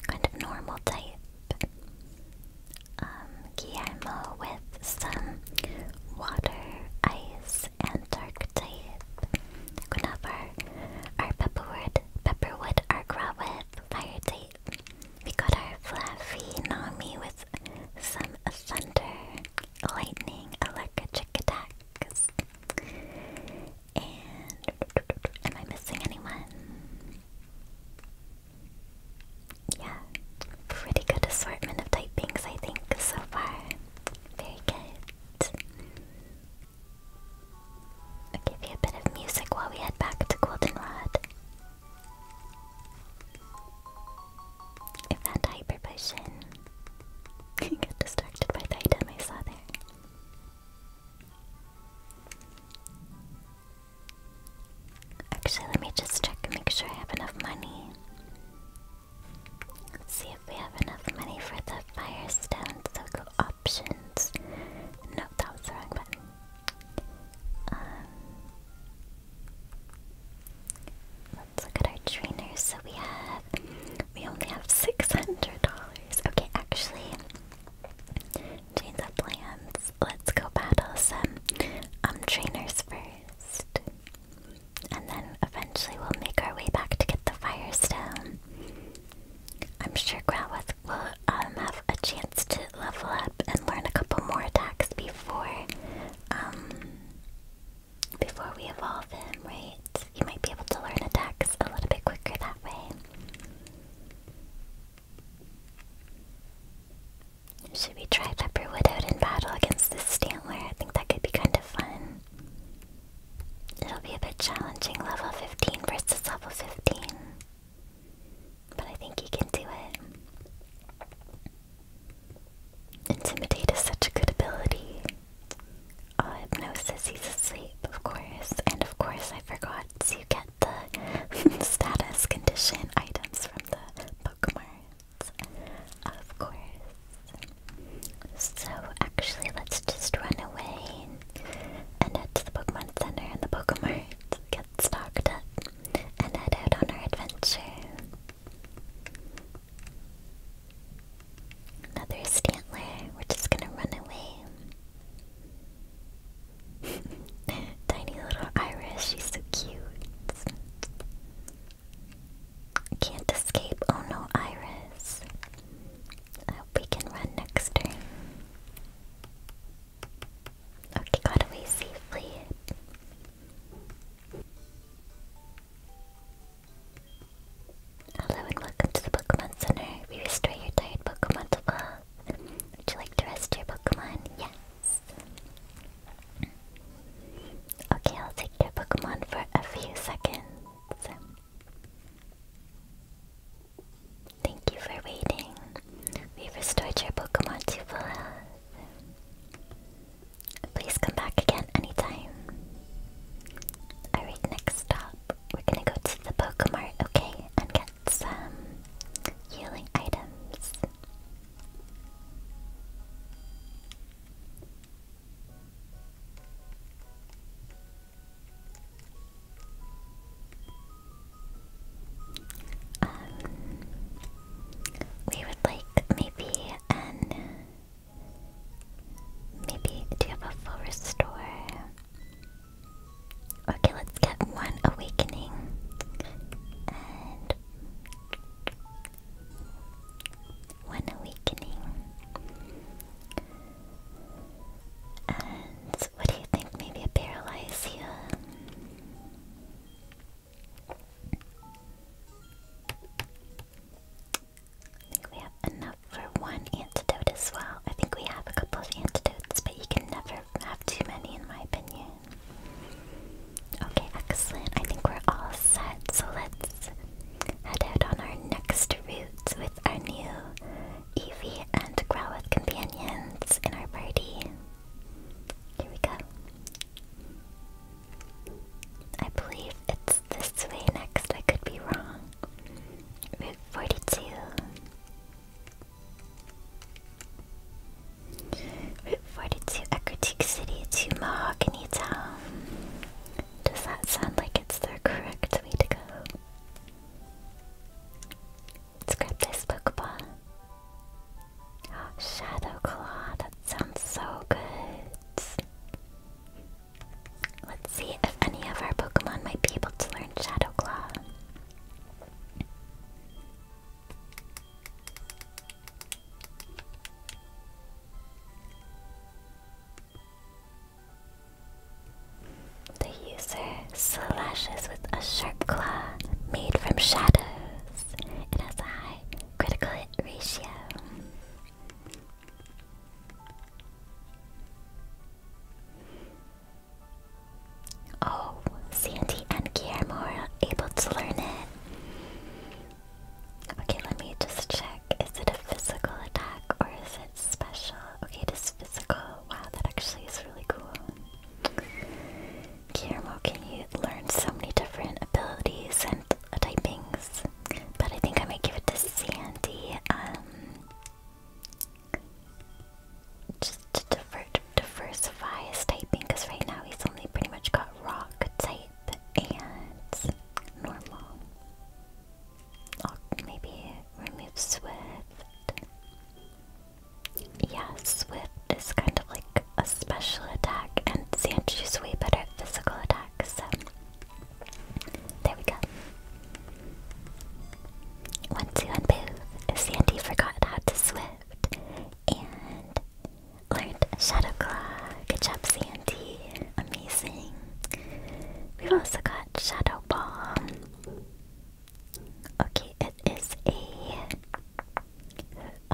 A: kind of normal type. Um, Guillermo with some water, ice, is Antarctic. Gunavar, our pepperwood, pepperwood, our grawith, fire tape. We got our fluffy Nami with some thunder, lightning, electric attacks. And am I missing anyone? Yeah, pretty good assortment of typings I think so far. Very good. I'll give you a bit of music while we head back to Goldenrod. I found Hyper Potion. I [laughs] distracted by the item I Actually, let me just check and make sure I have enough money. See if we have enough money for the firestone. So go options. No, that was wrong button. Um, let's look at our trainers. So we have, we only have six hundred dollars. Okay, actually, change the plans. Let's go battle some um, trainers first and then eventually we'll make our way back to get the Fire Stone. I'm sure Growlithe will um, have a chance to level up and learn a couple more attacks before um, before we evolve him, right? You might be able to learn attacks a little bit quicker that way. Should we try Pepperwood out in battle against this Stantler? I think that could be kind of fun. It'll be a bit challenging, level 15 versus level 15. But I think you can do it. Intimidate is such a good ability. Uh, hypnosis, he's asleep, of course. And of course, I forgot to get the [laughs] status condition items from the Pokemon. Of course. So actually, let's just run away and head to the Pokemon Center and the Pokemon get stocked up and head out on our adventure. Another Stantler. We're just gonna run away. [laughs] Tiny little Irish. She's so cute. Can't escape. Oh no, Iris. I hope we can run next turn. Okay, got away safely. Hello and welcome to the Pokemon Center. We restore your tired Pokemon to love. Would you like to rest your Pokemon? Yes. Okay, I'll take your Pokemon for a few seconds. Thank you for waiting. we restored your Pokemon to full health. Please come back again anytime. Alright, next stop. We're gonna go to the Pokemart, okay? And get some healing items. Um, we would like maybe an maybe do a full restore? Okay, let's get one awakening one awakening. And what do you think? Maybe a paralysia? I think we have enough for one antidote as well. I think we have a couple of antidotes, but you can never have too many, in my opinion. Okay, excellent. I think we're all set, so let's head out on our next with our new Evie and Growlithe companions in our party. Here we go. I believe it's this way next, I could be wrong. Route 42. Route 42, Ecruteak City to Mahogany Town. Does that sound like it's the correct way to go? Let's grab this Pokemon. Oh, Shadow Claw, that sounds so good. Let's see if any of our Pokemon might be able to learn Shadow Claw. The user slashes with a sharp claw made from shadows. It a high critical hit ratio. Oh, Sandy and Guillermo able to learn it. Okay, let me just check. Is it a physical attack or is special. Okay, it is physical. Wow, that actually is really cool. Kirmo, can you learn so many different abilities and uh, typings? But I think I might give it to Sandy. Um, just to diversify his typing, because right now he's only pretty much got rock type and normal. Or maybe remove Swift. yes, Swift is kind of like a special attack, and Sanchu's way better at physical attacks. there we go. Once you unmove, Sandy forgot how to Swift and learned Shadow Claw. Good job, Sandy amazing. We've also got Shadow Ball. Okay, it is a,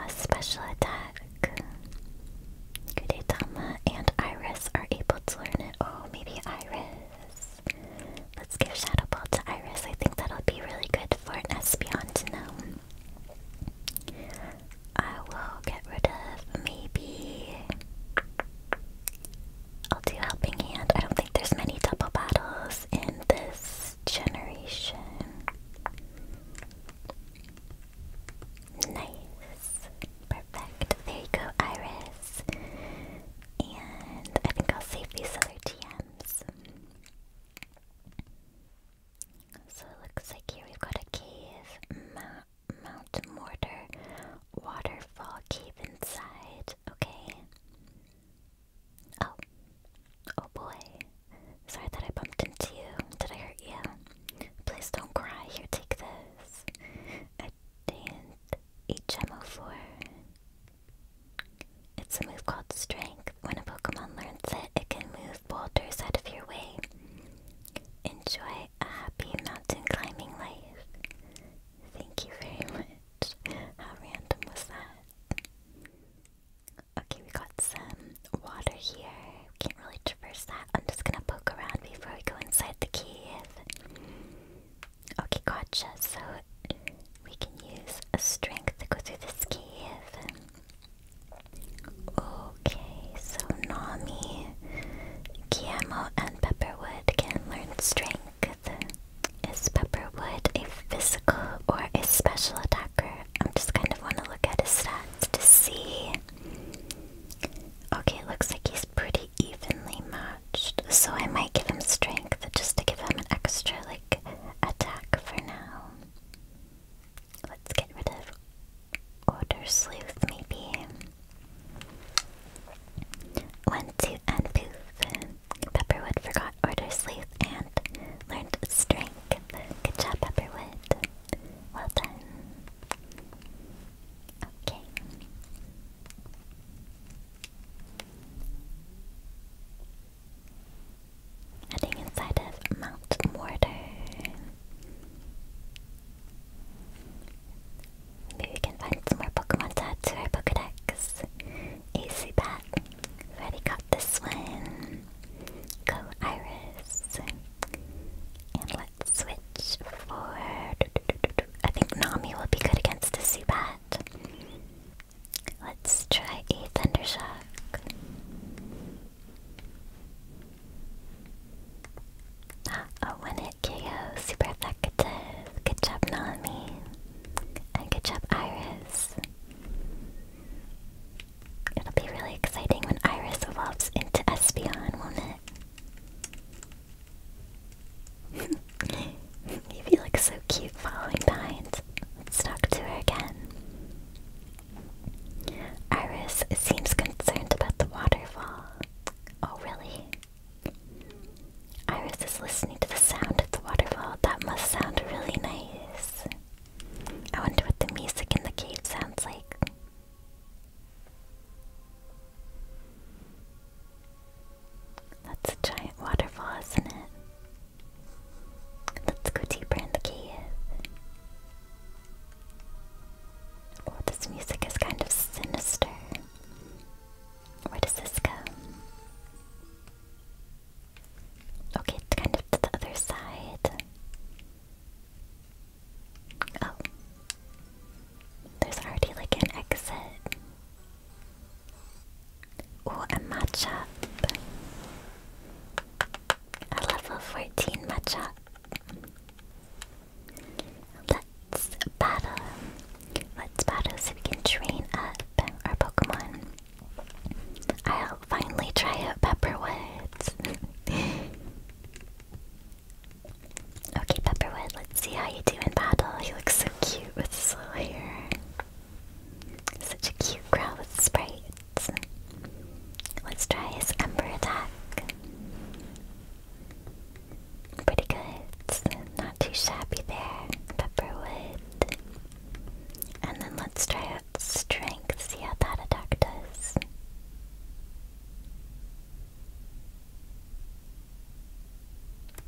A: a special attack. Kudetama and Iris are able to learn it. Oh, maybe Iris. Let's give Shadow Ball to Iris. I think that'll be really good for an Espeon to know. I will get rid of maybe... I'll do helping hand. I don't think there's many double battles in this generation. Nice. Perfect. There you go, Iris. And I think I'll save these other TMs. So it looks like here we've got a cave, mountain. Mount Mortar waterfall cave inside, okay? Oh. Oh boy. Sorry that I bumped into you. Did I hurt you? Please don't cry. Here, take this. A HMO4. It's a move called Strength. When a Pokemon learns it, it can move boulders out of your way. Enjoy a happy mountain climbing life. Thank you very much. How random was that? Okay, we got some water here. Can't really traverse that. I'm just gonna poke around before we go inside the cave. Okay, gotcha. So we can use strength to go through this cave. Okay, so Nami Guillermo and Pepperwood can learn strength. Is Pepperwood a physical or a special attacker? I'm just kind of want to look at his stats to see. Okay, looks like he's pretty evenly matched, so I might give him strength just to give him an extra like attack for now. Let's get rid of Order Sleuth maybe. One, two, and poof. Pepperwood forgot order sleeve and learned strength. Good job, Pepperwood. Well done. Okay. Heading inside of Mount Mortar. Maybe we can find some more Pokemon to add to our Pokedex. AC Bat. Already got this one. Go Iris. And let's switch for... I think Nami will be good against a Zubat. Let's try a Thundershock. Ah, oh, when it Geo, super effective. Good job, Nami. And good job, Iris. It'll be really exciting when Iris evolves into Espeon, won't it? [laughs] Evie looks so cute following behind. let to her again. Iris seems concerned about the waterfall. Oh, really? Iris is listening to the sound of the waterfall. That must sound really nice. I wonder what the music in the cave sounds like. That's a giant waterfall, isn't it? Let's go deeper in the cave. Oh, this music is kind of sinister. Where does this go? Okay, kind of to the other side. Oh. There's already like an exit. Oh, a match A level 14 match Let's battle. Let's battle so we can train up our Pokemon. I'll finally try out Pepperwood. [laughs] okay, Pepperwood, let's see how you do in battle. You look so cute with his little hair. Such a cute growl with sprites. Let's try his Ember attack. Pretty good. Not too shabby there. Pepperwood. And then let's try out strength, see how that attack does.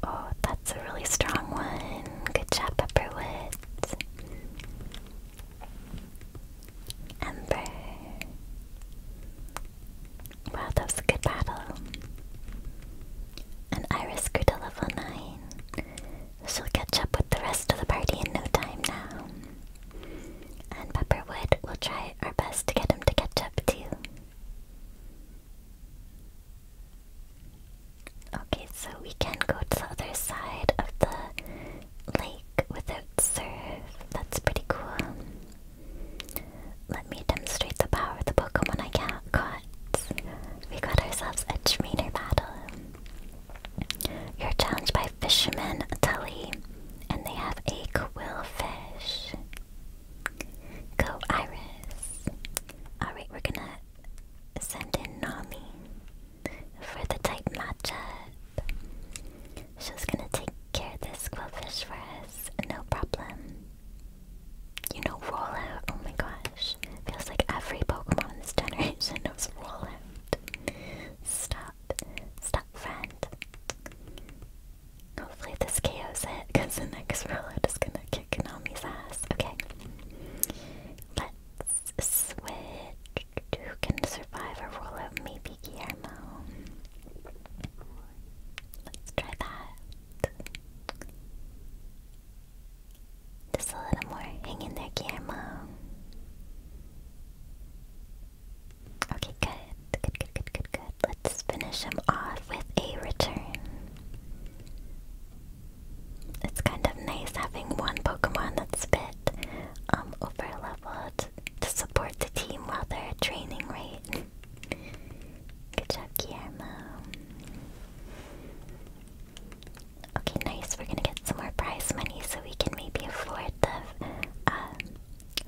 A: Oh, that's a really strong one. Good job, Pepperwood. Ember. Wow, that was a good battle. And Iris grew to level 9. She'll catch up with the rest of the party in no time now. And Pepperwood will try our best to get him to catch up too. Okay, so we can go to the other side of the lake without surf. That's pretty cool. Let me demonstrate the power of the Pokemon I ca caught. We got ourselves a trainer battle. You're challenged by Fisherman Tully, and they have a Quillfish. Go Iris. Alright, we're gonna send in Nami for the type matchup. She's gonna take care of this Quillfish for us, no problem. You know, Rollout. Oh my gosh. Feels like every Pokemon in this generation [laughs] knows Rollout. Stop. Stop, friend. Hopefully this KOs it, because the next Rollout is gonna kick Konami's ass. Okay. Let's switch. Who can survive a Rollout? Maybe Guillermo. Let's try that. Just a little more. Hang in there, Guillermo. Okay, good. Good, good, good, good, good. Let's finish him off with a return. It's kind of nice having one Pokemon that's a um, over leveled to support the team while they're training, right? Good job, Guillermo. Okay, nice. We're gonna get some more prize money so we can maybe afford the um,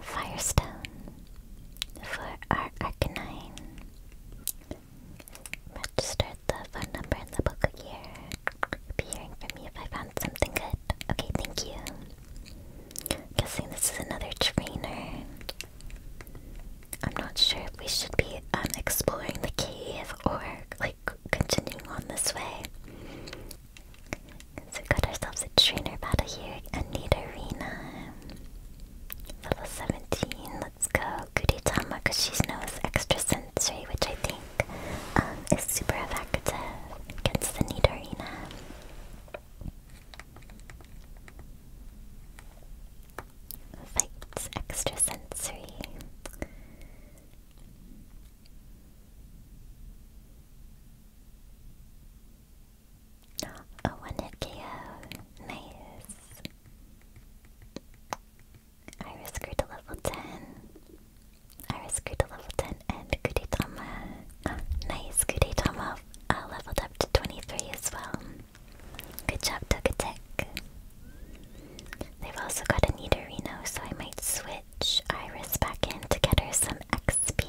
A: Firestone for our Arcanine. Register the phone number in the book here. Be hearing from me if I found something good. Okay, thank you. Guessing this is another trainer. I'm not sure if we should be um, exploring the cave or like continuing on this way. So we got ourselves a trainer battle here, in neat arena. Level 17, let's go. Kuritama, because she knows extra sensory, which I think um, is super effective against the neat arena. Fights extrasensory. A oh, one hit Nice. Uh, Iris grew to level 10. Iris grew to level 10 and Kudetama. Oh, nice, Kudetama uh, leveled up to 23 as well. Good job, Togetic. They've also got a Nidorino, so I might switch Iris back in to get her some XP.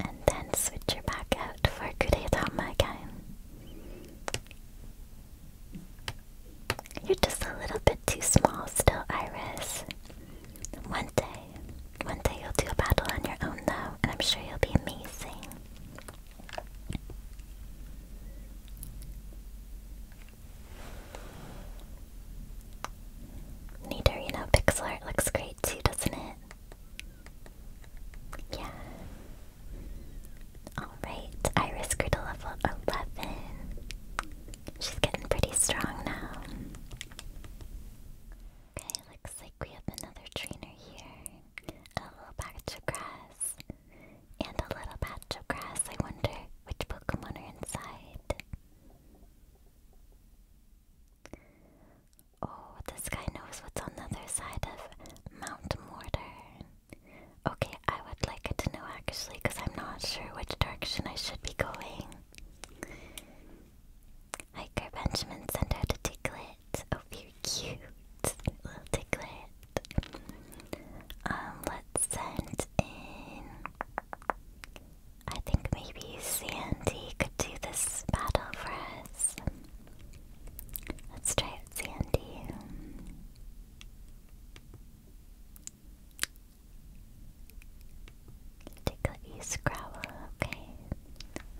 A: And then switch her back out for Kuretama again. You're just a little bit too small still, Iris. One day, one day you'll do a battle on your own though, and I'm sure you'll be amazing. Neater, you know, pixel art looks great too, doesn't it? Yeah. Alright, Iris grew to level 11. She's getting pretty strong now. Okay, looks like we have another trainer here. A little patch of grass. And a little patch of grass. I wonder which Pokemon are inside. Oh, this guy knows what's on the other side of Mount Mortar. Okay, I would like to know actually, because I'm not sure which direction I should be going. Hiker Benjamin sent out a ticklet. Oh, very cute. Little ticklet. Um, let's send in. I think maybe Sandy could do this battle for us. Let's try it, Sandy. Tickle you, Scrabble, okay.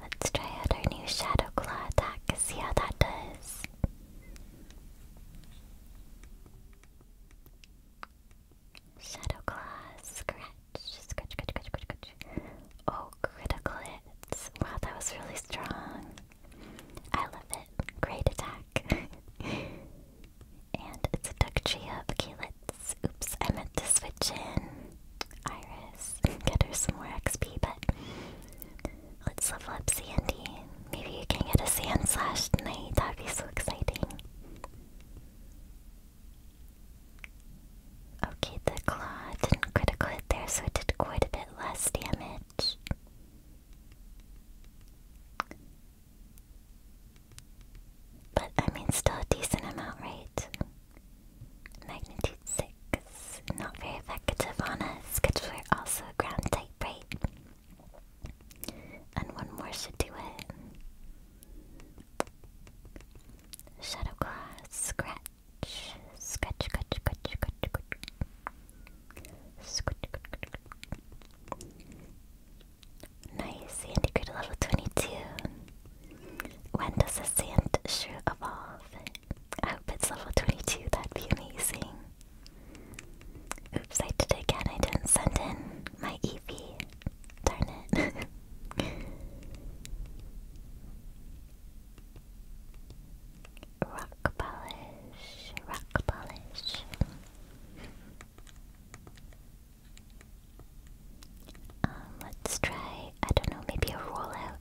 A: Let's try out our new Shadow Claw attack, see how that does. Shadow Claw, scratch, scratch, scratch, scratch, scratch. Oh, critical hits. Wow, that was really strong. I love it. Great attack. [laughs] and it's a duck tree up. Okay, let's... Oops, I meant to switch in Iris [laughs] get her some more XP, but let's level up Sandy. Maybe you can get a Sand Slash tonight. That'd be so exciting. Okay, the claw didn't critical hit there, so it did quite a bit less damage. But I mean, still a decent amount, right? Magnitude 6. Not very effective on us, because we're also ground type, right? And one more should do it. Shadow Claw, scratch, scratch, scratch, scratch. Scratch, scratch, scratch. Nice, Sandygrid level 22. When does the sand shrew evolve? I hope it's level 22, that amazing. Oops, I did it again, I didn't send in my EV. Darn it. [laughs] rock polish, rock polish. Um, let's try, I don't know, maybe a rollout.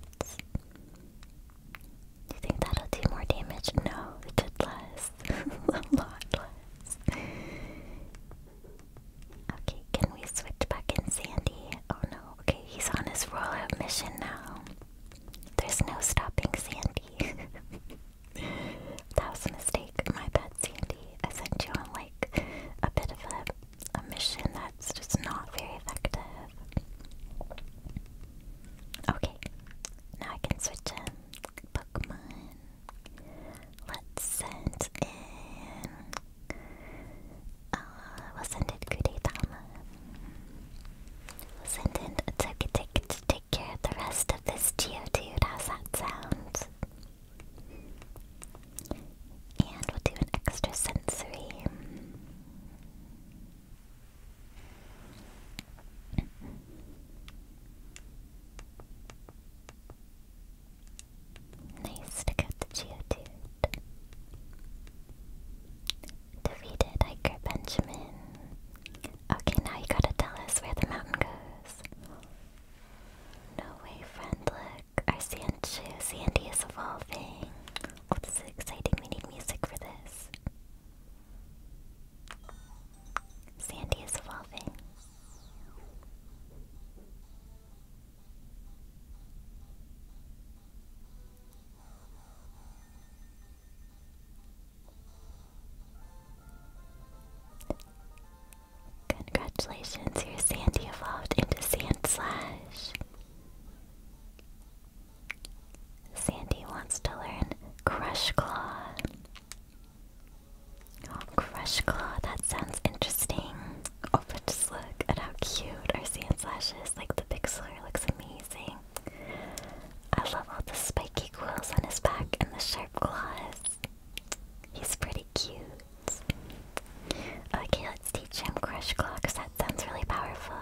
A: you think that'll do more damage? No, it did less. [laughs] a lot less. Okay, can we switch back in Sandy? Oh no, okay, he's on his rollout mission now. There's no stopping Sandy. [laughs] that was a mistake. My bad, Sandy. I sent you on like a bit of a a mission that's just not very effective. Okay, now I can switch in Pokemon. Let's send in. Uh, we'll send in Kudetama. We'll send in a Togetic to take care of the rest of this Geodude. How's that sound? And we'll do an extra sensory. nice to get the Geodude. Defeated Iker Benjamin. Okay, now you gotta tell us where the mountain goes. No way, friend, our sand Sandy is evolving. this is exciting. We need music for this. Sandy is evolving. Congratulations, your Sandy evolved into Sand Slash. Sandy wants to learn Crush Claw. Oh, Crush Claw, that sounds interesting. Oh, but just look at how cute our Sand Slash is. Like, the pixeler looks amazing. I love all the spiky quills on his back and the sharp claws. He's pretty cute. Okay, let's teach him Crush Claw because that sounds really powerful.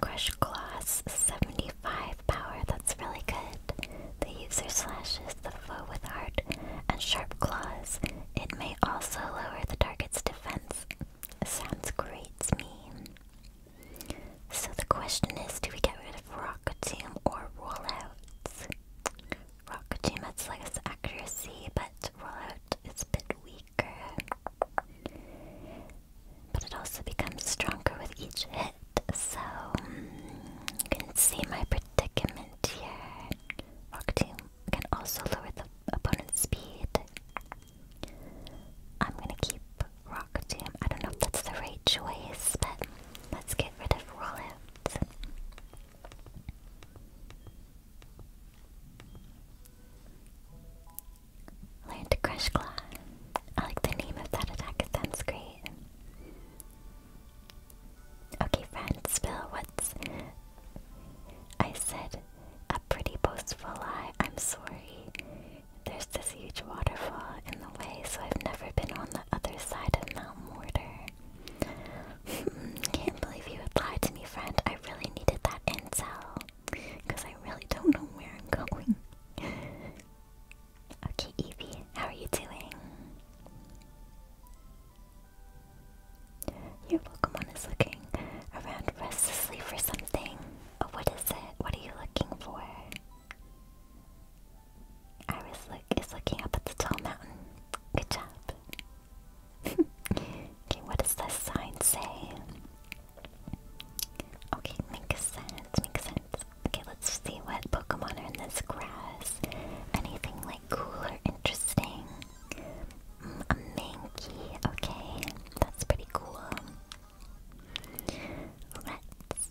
A: Crush Claw's 75 power, that's really good. The user slashes the foe with heart and sharp claws. It may also lower the target's defense. Sounds great to me. So the question is do we get rid of Rock Team or Rollouts? Rokuchi much less accuracy, but rollout is a bit weaker. But it also becomes stronger with each hit, so um, you can see my predicament here. Rokuchi can also lower the opponent's speed. I'm gonna keep rock Rokuchi. I don't know if that's the right choice, but let's get rid of rollout. Learn crush claw. I like the name of that attack, it sounds great. Okay, friends, Bill, what's. I said a pretty boastful lie. I'm sorry. There's this huge waterfall in the way, so I've never been on the other side of Mount Mortar. [laughs] Can't believe you replied to me, friend. I really needed that intel. Because I really don't know where I'm going. [laughs] okay, Evie, how are you doing? Your Pokemon is looking around restlessly for something. Oh, what is it? What are you looking for? I is looking up at the tall mountain. Good job. [laughs] okay, what does this sign say? Okay, makes sense, makes sense. Okay, let's see what Pokemon are in this grass. Anything like cool or interesting? Mm, a Mankey, okay. That's pretty cool. Let's...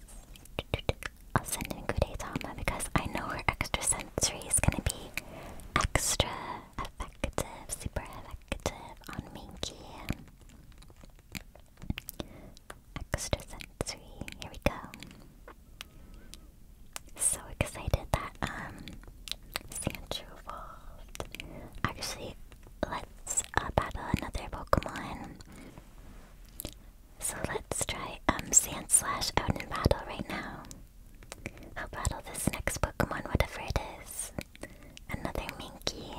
A: I'll send in Kudetama because I know her extra sensory is gonna be extra effective, super effective on Minky. Extra sensory. Here we go. So excited that um Sandro evolved. Actually, let's uh, battle another Pokemon. So let's try um Sand Slash out in battle right now. I'll battle this next Pokemon, whatever it is? Another Minky.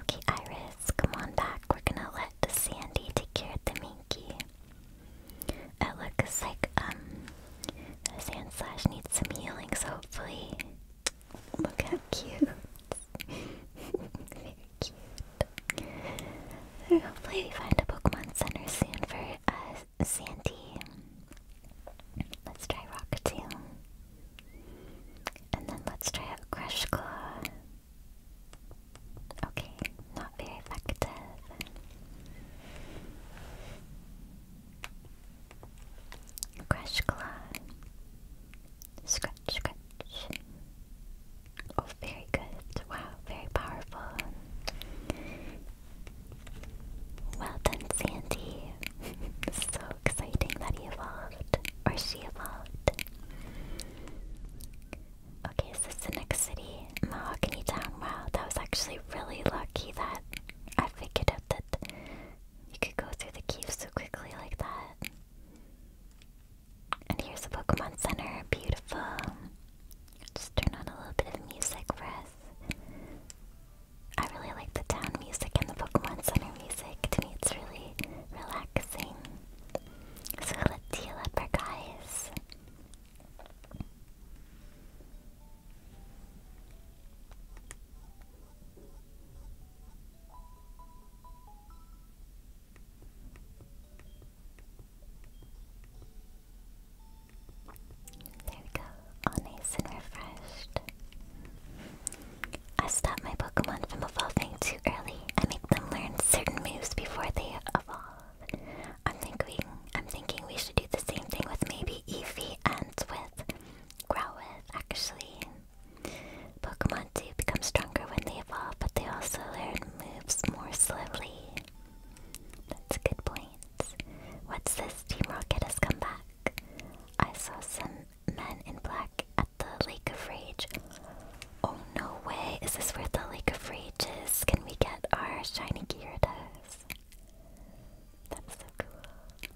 A: Okay, Iris, come on back. We're gonna let Sandy take care of the Minky. It looks like um Sand Slash needs some healing, so hopefully look how cute. [laughs] hopefully we find a Pokemon Center soon for uh, Sandy. Let's try Rockatail. And then let's try out Crush Claw. Okay, not very effective. Crush Claw. Scratch, scratch, Oh, very good. Wow, very powerful. Well done, Sandy. [laughs] so exciting that he evolved. Or she evolved. Okay, is the next city? Mahogany Town. Wow, that was actually really lucky that I figured out that you could go through the cave so quickly like that. And here's the Pokemon Center. Beautiful. Just turn on a little bit of music for us. I really like the town music and the Pokemon Center music. To me, it's really relaxing. So let's heal up our guys. There we go, all nice and refreshed. I stop my Pokemon from evolving too early. I make them learn certain moves before they evolve. I'm thinking I'm thinking we should do the same thing with maybe Eevee and with Growlithe, actually. Pokemon do become stronger when they evolve, but they also learn moves more slowly. That's good points. What's this? Team Rocket has come back. I saw some men in black at the Lake of Rage. Oh no way! Is this where the Lake of Rage is? Can we get our shiny Gyarados? That's so cool.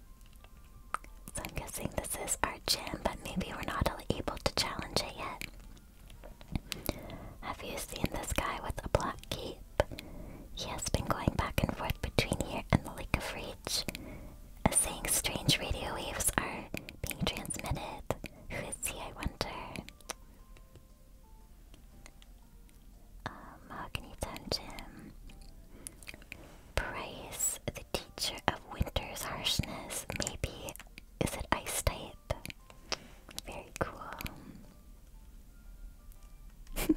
A: So I'm guessing this is our gym, but maybe we're not able to challenge it yet. Have you seen this guy with a black cape? He has been going back and forth between here and the Lake of Reach, as uh, saying strange radio waves are being transmitted. Who is he, I wonder? Um, Mahogany Dungeon. Price, the teacher of winter's harshness. Maybe. Is it ice very cool. [laughs] okay.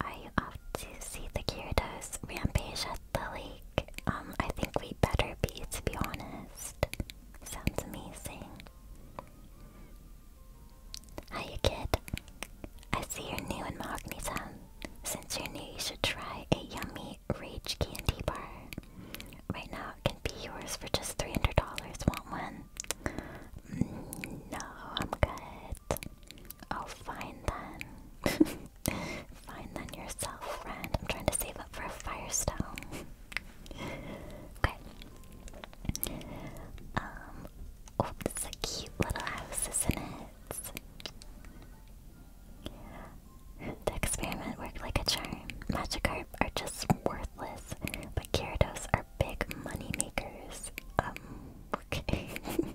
A: Are you to see the Gyarados rampage at the lake? Um, I think we better be, to be honest. Sounds amazing. Hiya, kid. I see you're new in Mahogany Town. Since you're new, you should try a yummy my Rage Candy Bar. Right now it can be yours for just $300. Want one? Mm, no, I'm good. Oh, fine then. [laughs] fine then yourself, friend. I'm trying to save up for a Firestone. okay. Um, oh, this a cute little house, isn't it? The experiment worked like a charm. Magikarp are just worthless, but Gyarados are big money makers. Um, [laughs]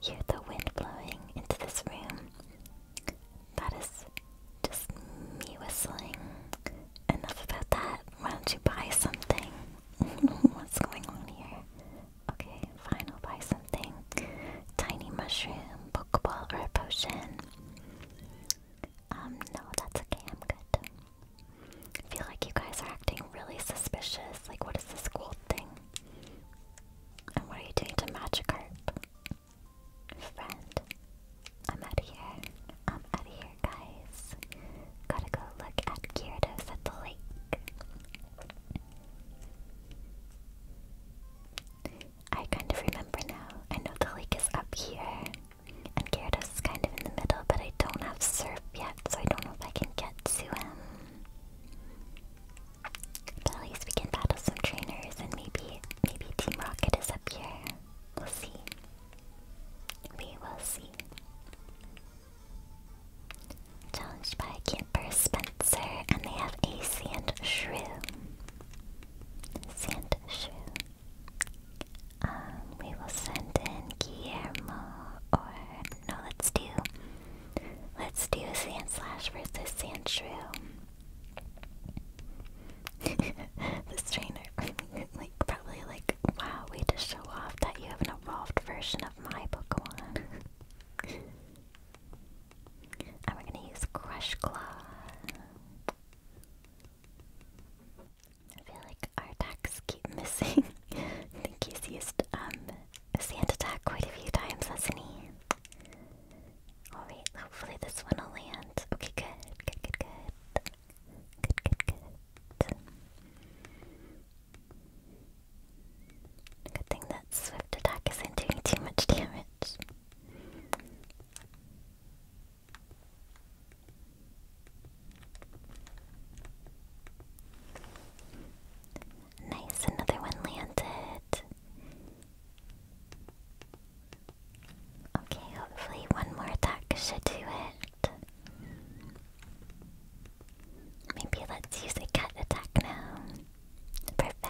A: Hear the wind blowing into this room. That is just me whistling. Enough about that. Why don't you buy something? [laughs] What's going on here? Okay, fine, I'll buy something. Tiny mushroom, pokeball, or a potion. Um, no, that's okay, I'm good. I feel like you guys are acting really suspicious. Like, what is this gold thing? And what are you doing to Magikarp? Friend. I'm out of here. I'm out of here, guys. Gotta go look at Gyarados at the lake. I kind of remember now. I know the lake is up here, and Gyarados is kind of in the middle, but I don't have Surf yet, so I don't know if I can get to him. But at least we can battle some trainers, and maybe, maybe Team Rocket is up here. We'll see. We will see. Challenged by Camper Spencer, and they have a and Shrew. Sand Shrew. Um, we will send in Guillermo, or no, let's do, let's do Sand Slash versus Sand Shrew. [laughs] this trainer, [laughs] like, probably like, wow, way to show off that you have an evolved version of my Pokemon. [laughs] And we're gonna use Crush Claw. I feel like our attacks keep missing. [laughs] I think he's used um, a sand attack quite a few times, hasn't he? Alright, hopefully this one will land. Okay, good, good, good. Good, good, good. Good thing that swift attack isn't doing too much damage. Nice, another one landed. Okay, hopefully one more attack should do it. Maybe let's use a cat attack now. Perfect.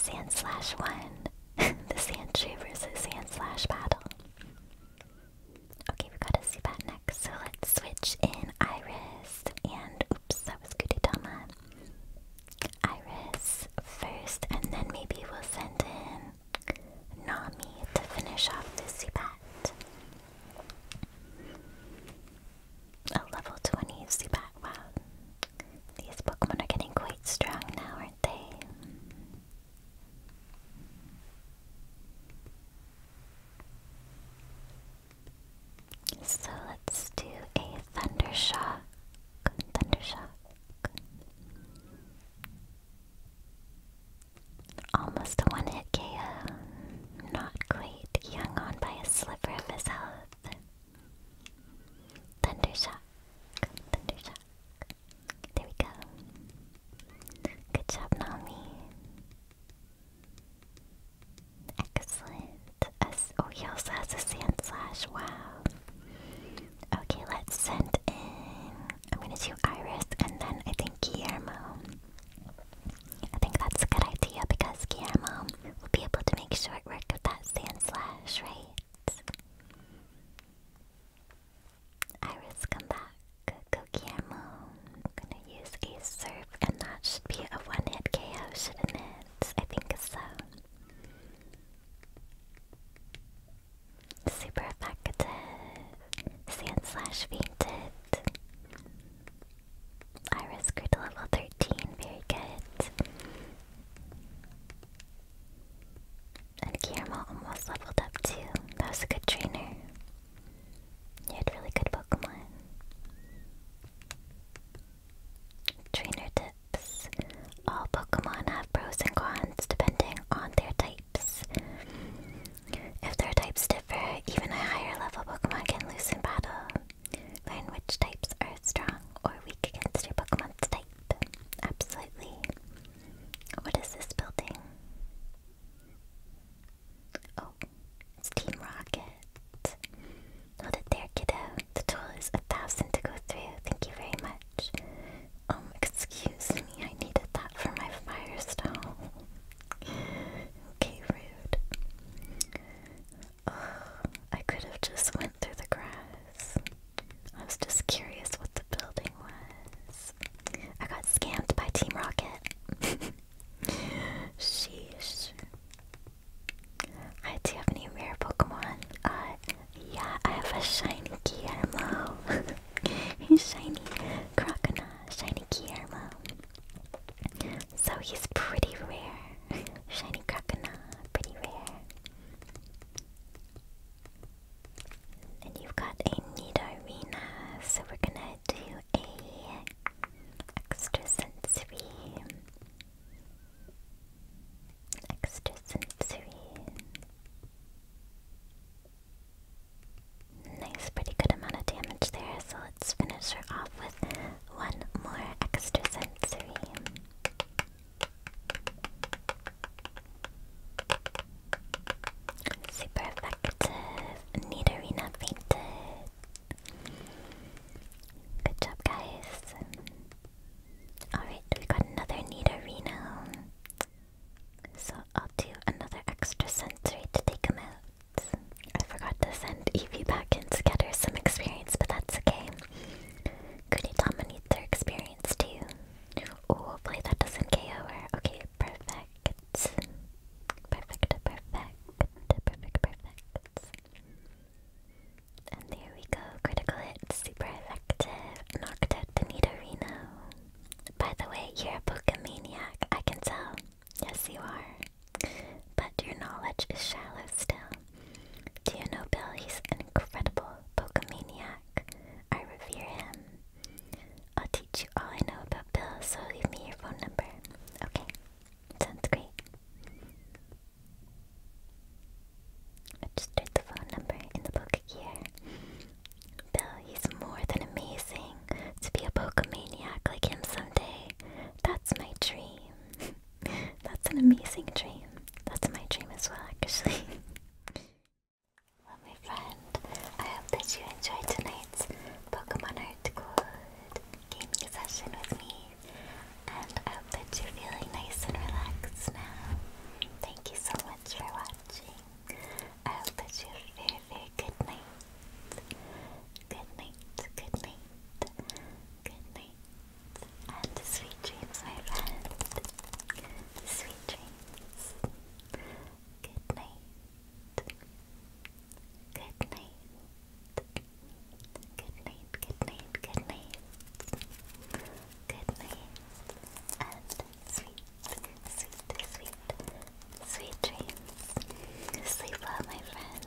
A: Sand slash one. [laughs] the sand tree versus sand slash battle. Okay, we got a Zubat next, so let's switch in Iris and oops, that was Gudetama. Iris first, and then maybe we'll send in Nami to finish off this Zubat a level 20 Zubat. Wow. These Pokemon are getting quite strong now, aren't they? So let's do a thunder shock. Thunder shock. Almost a one hit KO. Not quite. He hung on by a sliver of his health. Thundershock. Thundershock. There we go. Good job, Nami. Excellent. oh, he also has a sand slash. Wow. Okay, let's send in. I'm gonna do Iris and then I think Guillermo. I think that's a good idea because Camo will be able to make short work of that sand slash, right? Iris, come back. Go Guillermo. gonna use a surf and that should be a one-hit KO, shouldn't it? I think so. Super effective. Sand slash fainted. Iris grew to level 13, very good. And Guillermo almost leveled up too. That was a good trainer. You had really good Pokemon. Trainer tips. All Pokemon have pros and cons depending on their types. If their types differ, even a higher level Pokemon can lose in battle. Learn which types are strong or weak against your Pokemon's type. Absolutely. What is this building? Oh, it's Team Rocket. Hold it there, kiddo. The tool is a thousand to go through. Thank you very much. Um, excuse me, I needed that for my Fire Stone okay, rude. Oh, I could have just went through the grass. I was just curious what the building was. I got scammed by Team Rocket. [laughs] Sheesh. do you have any rare Pokemon? Uh, yeah, I have a shiny Guillermo. He's [laughs] shiny Crocona, shiny Guillermo. So he's pretty rare. [laughs] Shiny Krakena, pretty rare. And you've got a Nidorina, so we're gonna do a extrasensory. Extrasensory. Nice, pretty good amount of damage there, so let's finish her off with one more extra sensory. Super effective. Need fainted. Good job, guys. Alright, we got another need So I'll do another extra to take him out. I forgot to send Evie back and her some experience, but that's okay. Kunitama needs their experience too. hopefully that doesn't KO her. Okay, perfect. Perfect, perfect, perfect, perfect. And there we go. Critical hit, super effective. Knocked out the Nidorino. By the way, you're a Pokemaniac. I can tell. Yes, you are. But your knowledge is shallow still. Do you know Bill? He's an incredible Pokemaniac? I revere him. I'll teach you all I know about Bill, so leave me your phone number. Okay, sounds great. Registered the phone number in the book here. Bill, he's more than amazing. To be a Pokemaniac like him someday that's my dream. [laughs] That's an amazing dream. That's my dream as well, actually. [laughs] well, my friend, I hope that you enjoyed tonight's Pokemon Hardcore gaming session with me. And I hope that you're feeling nice and relaxed now. Thank you so much for watching. I hope that you have a very, very good night. Good night, good night, good night, and sweet dreams, my friend. Sweet dreams. Good night. Good night. Good night, good night, good night. Good night. And sweet, sweet, sweet, sweet dreams. Sleep well, my friend.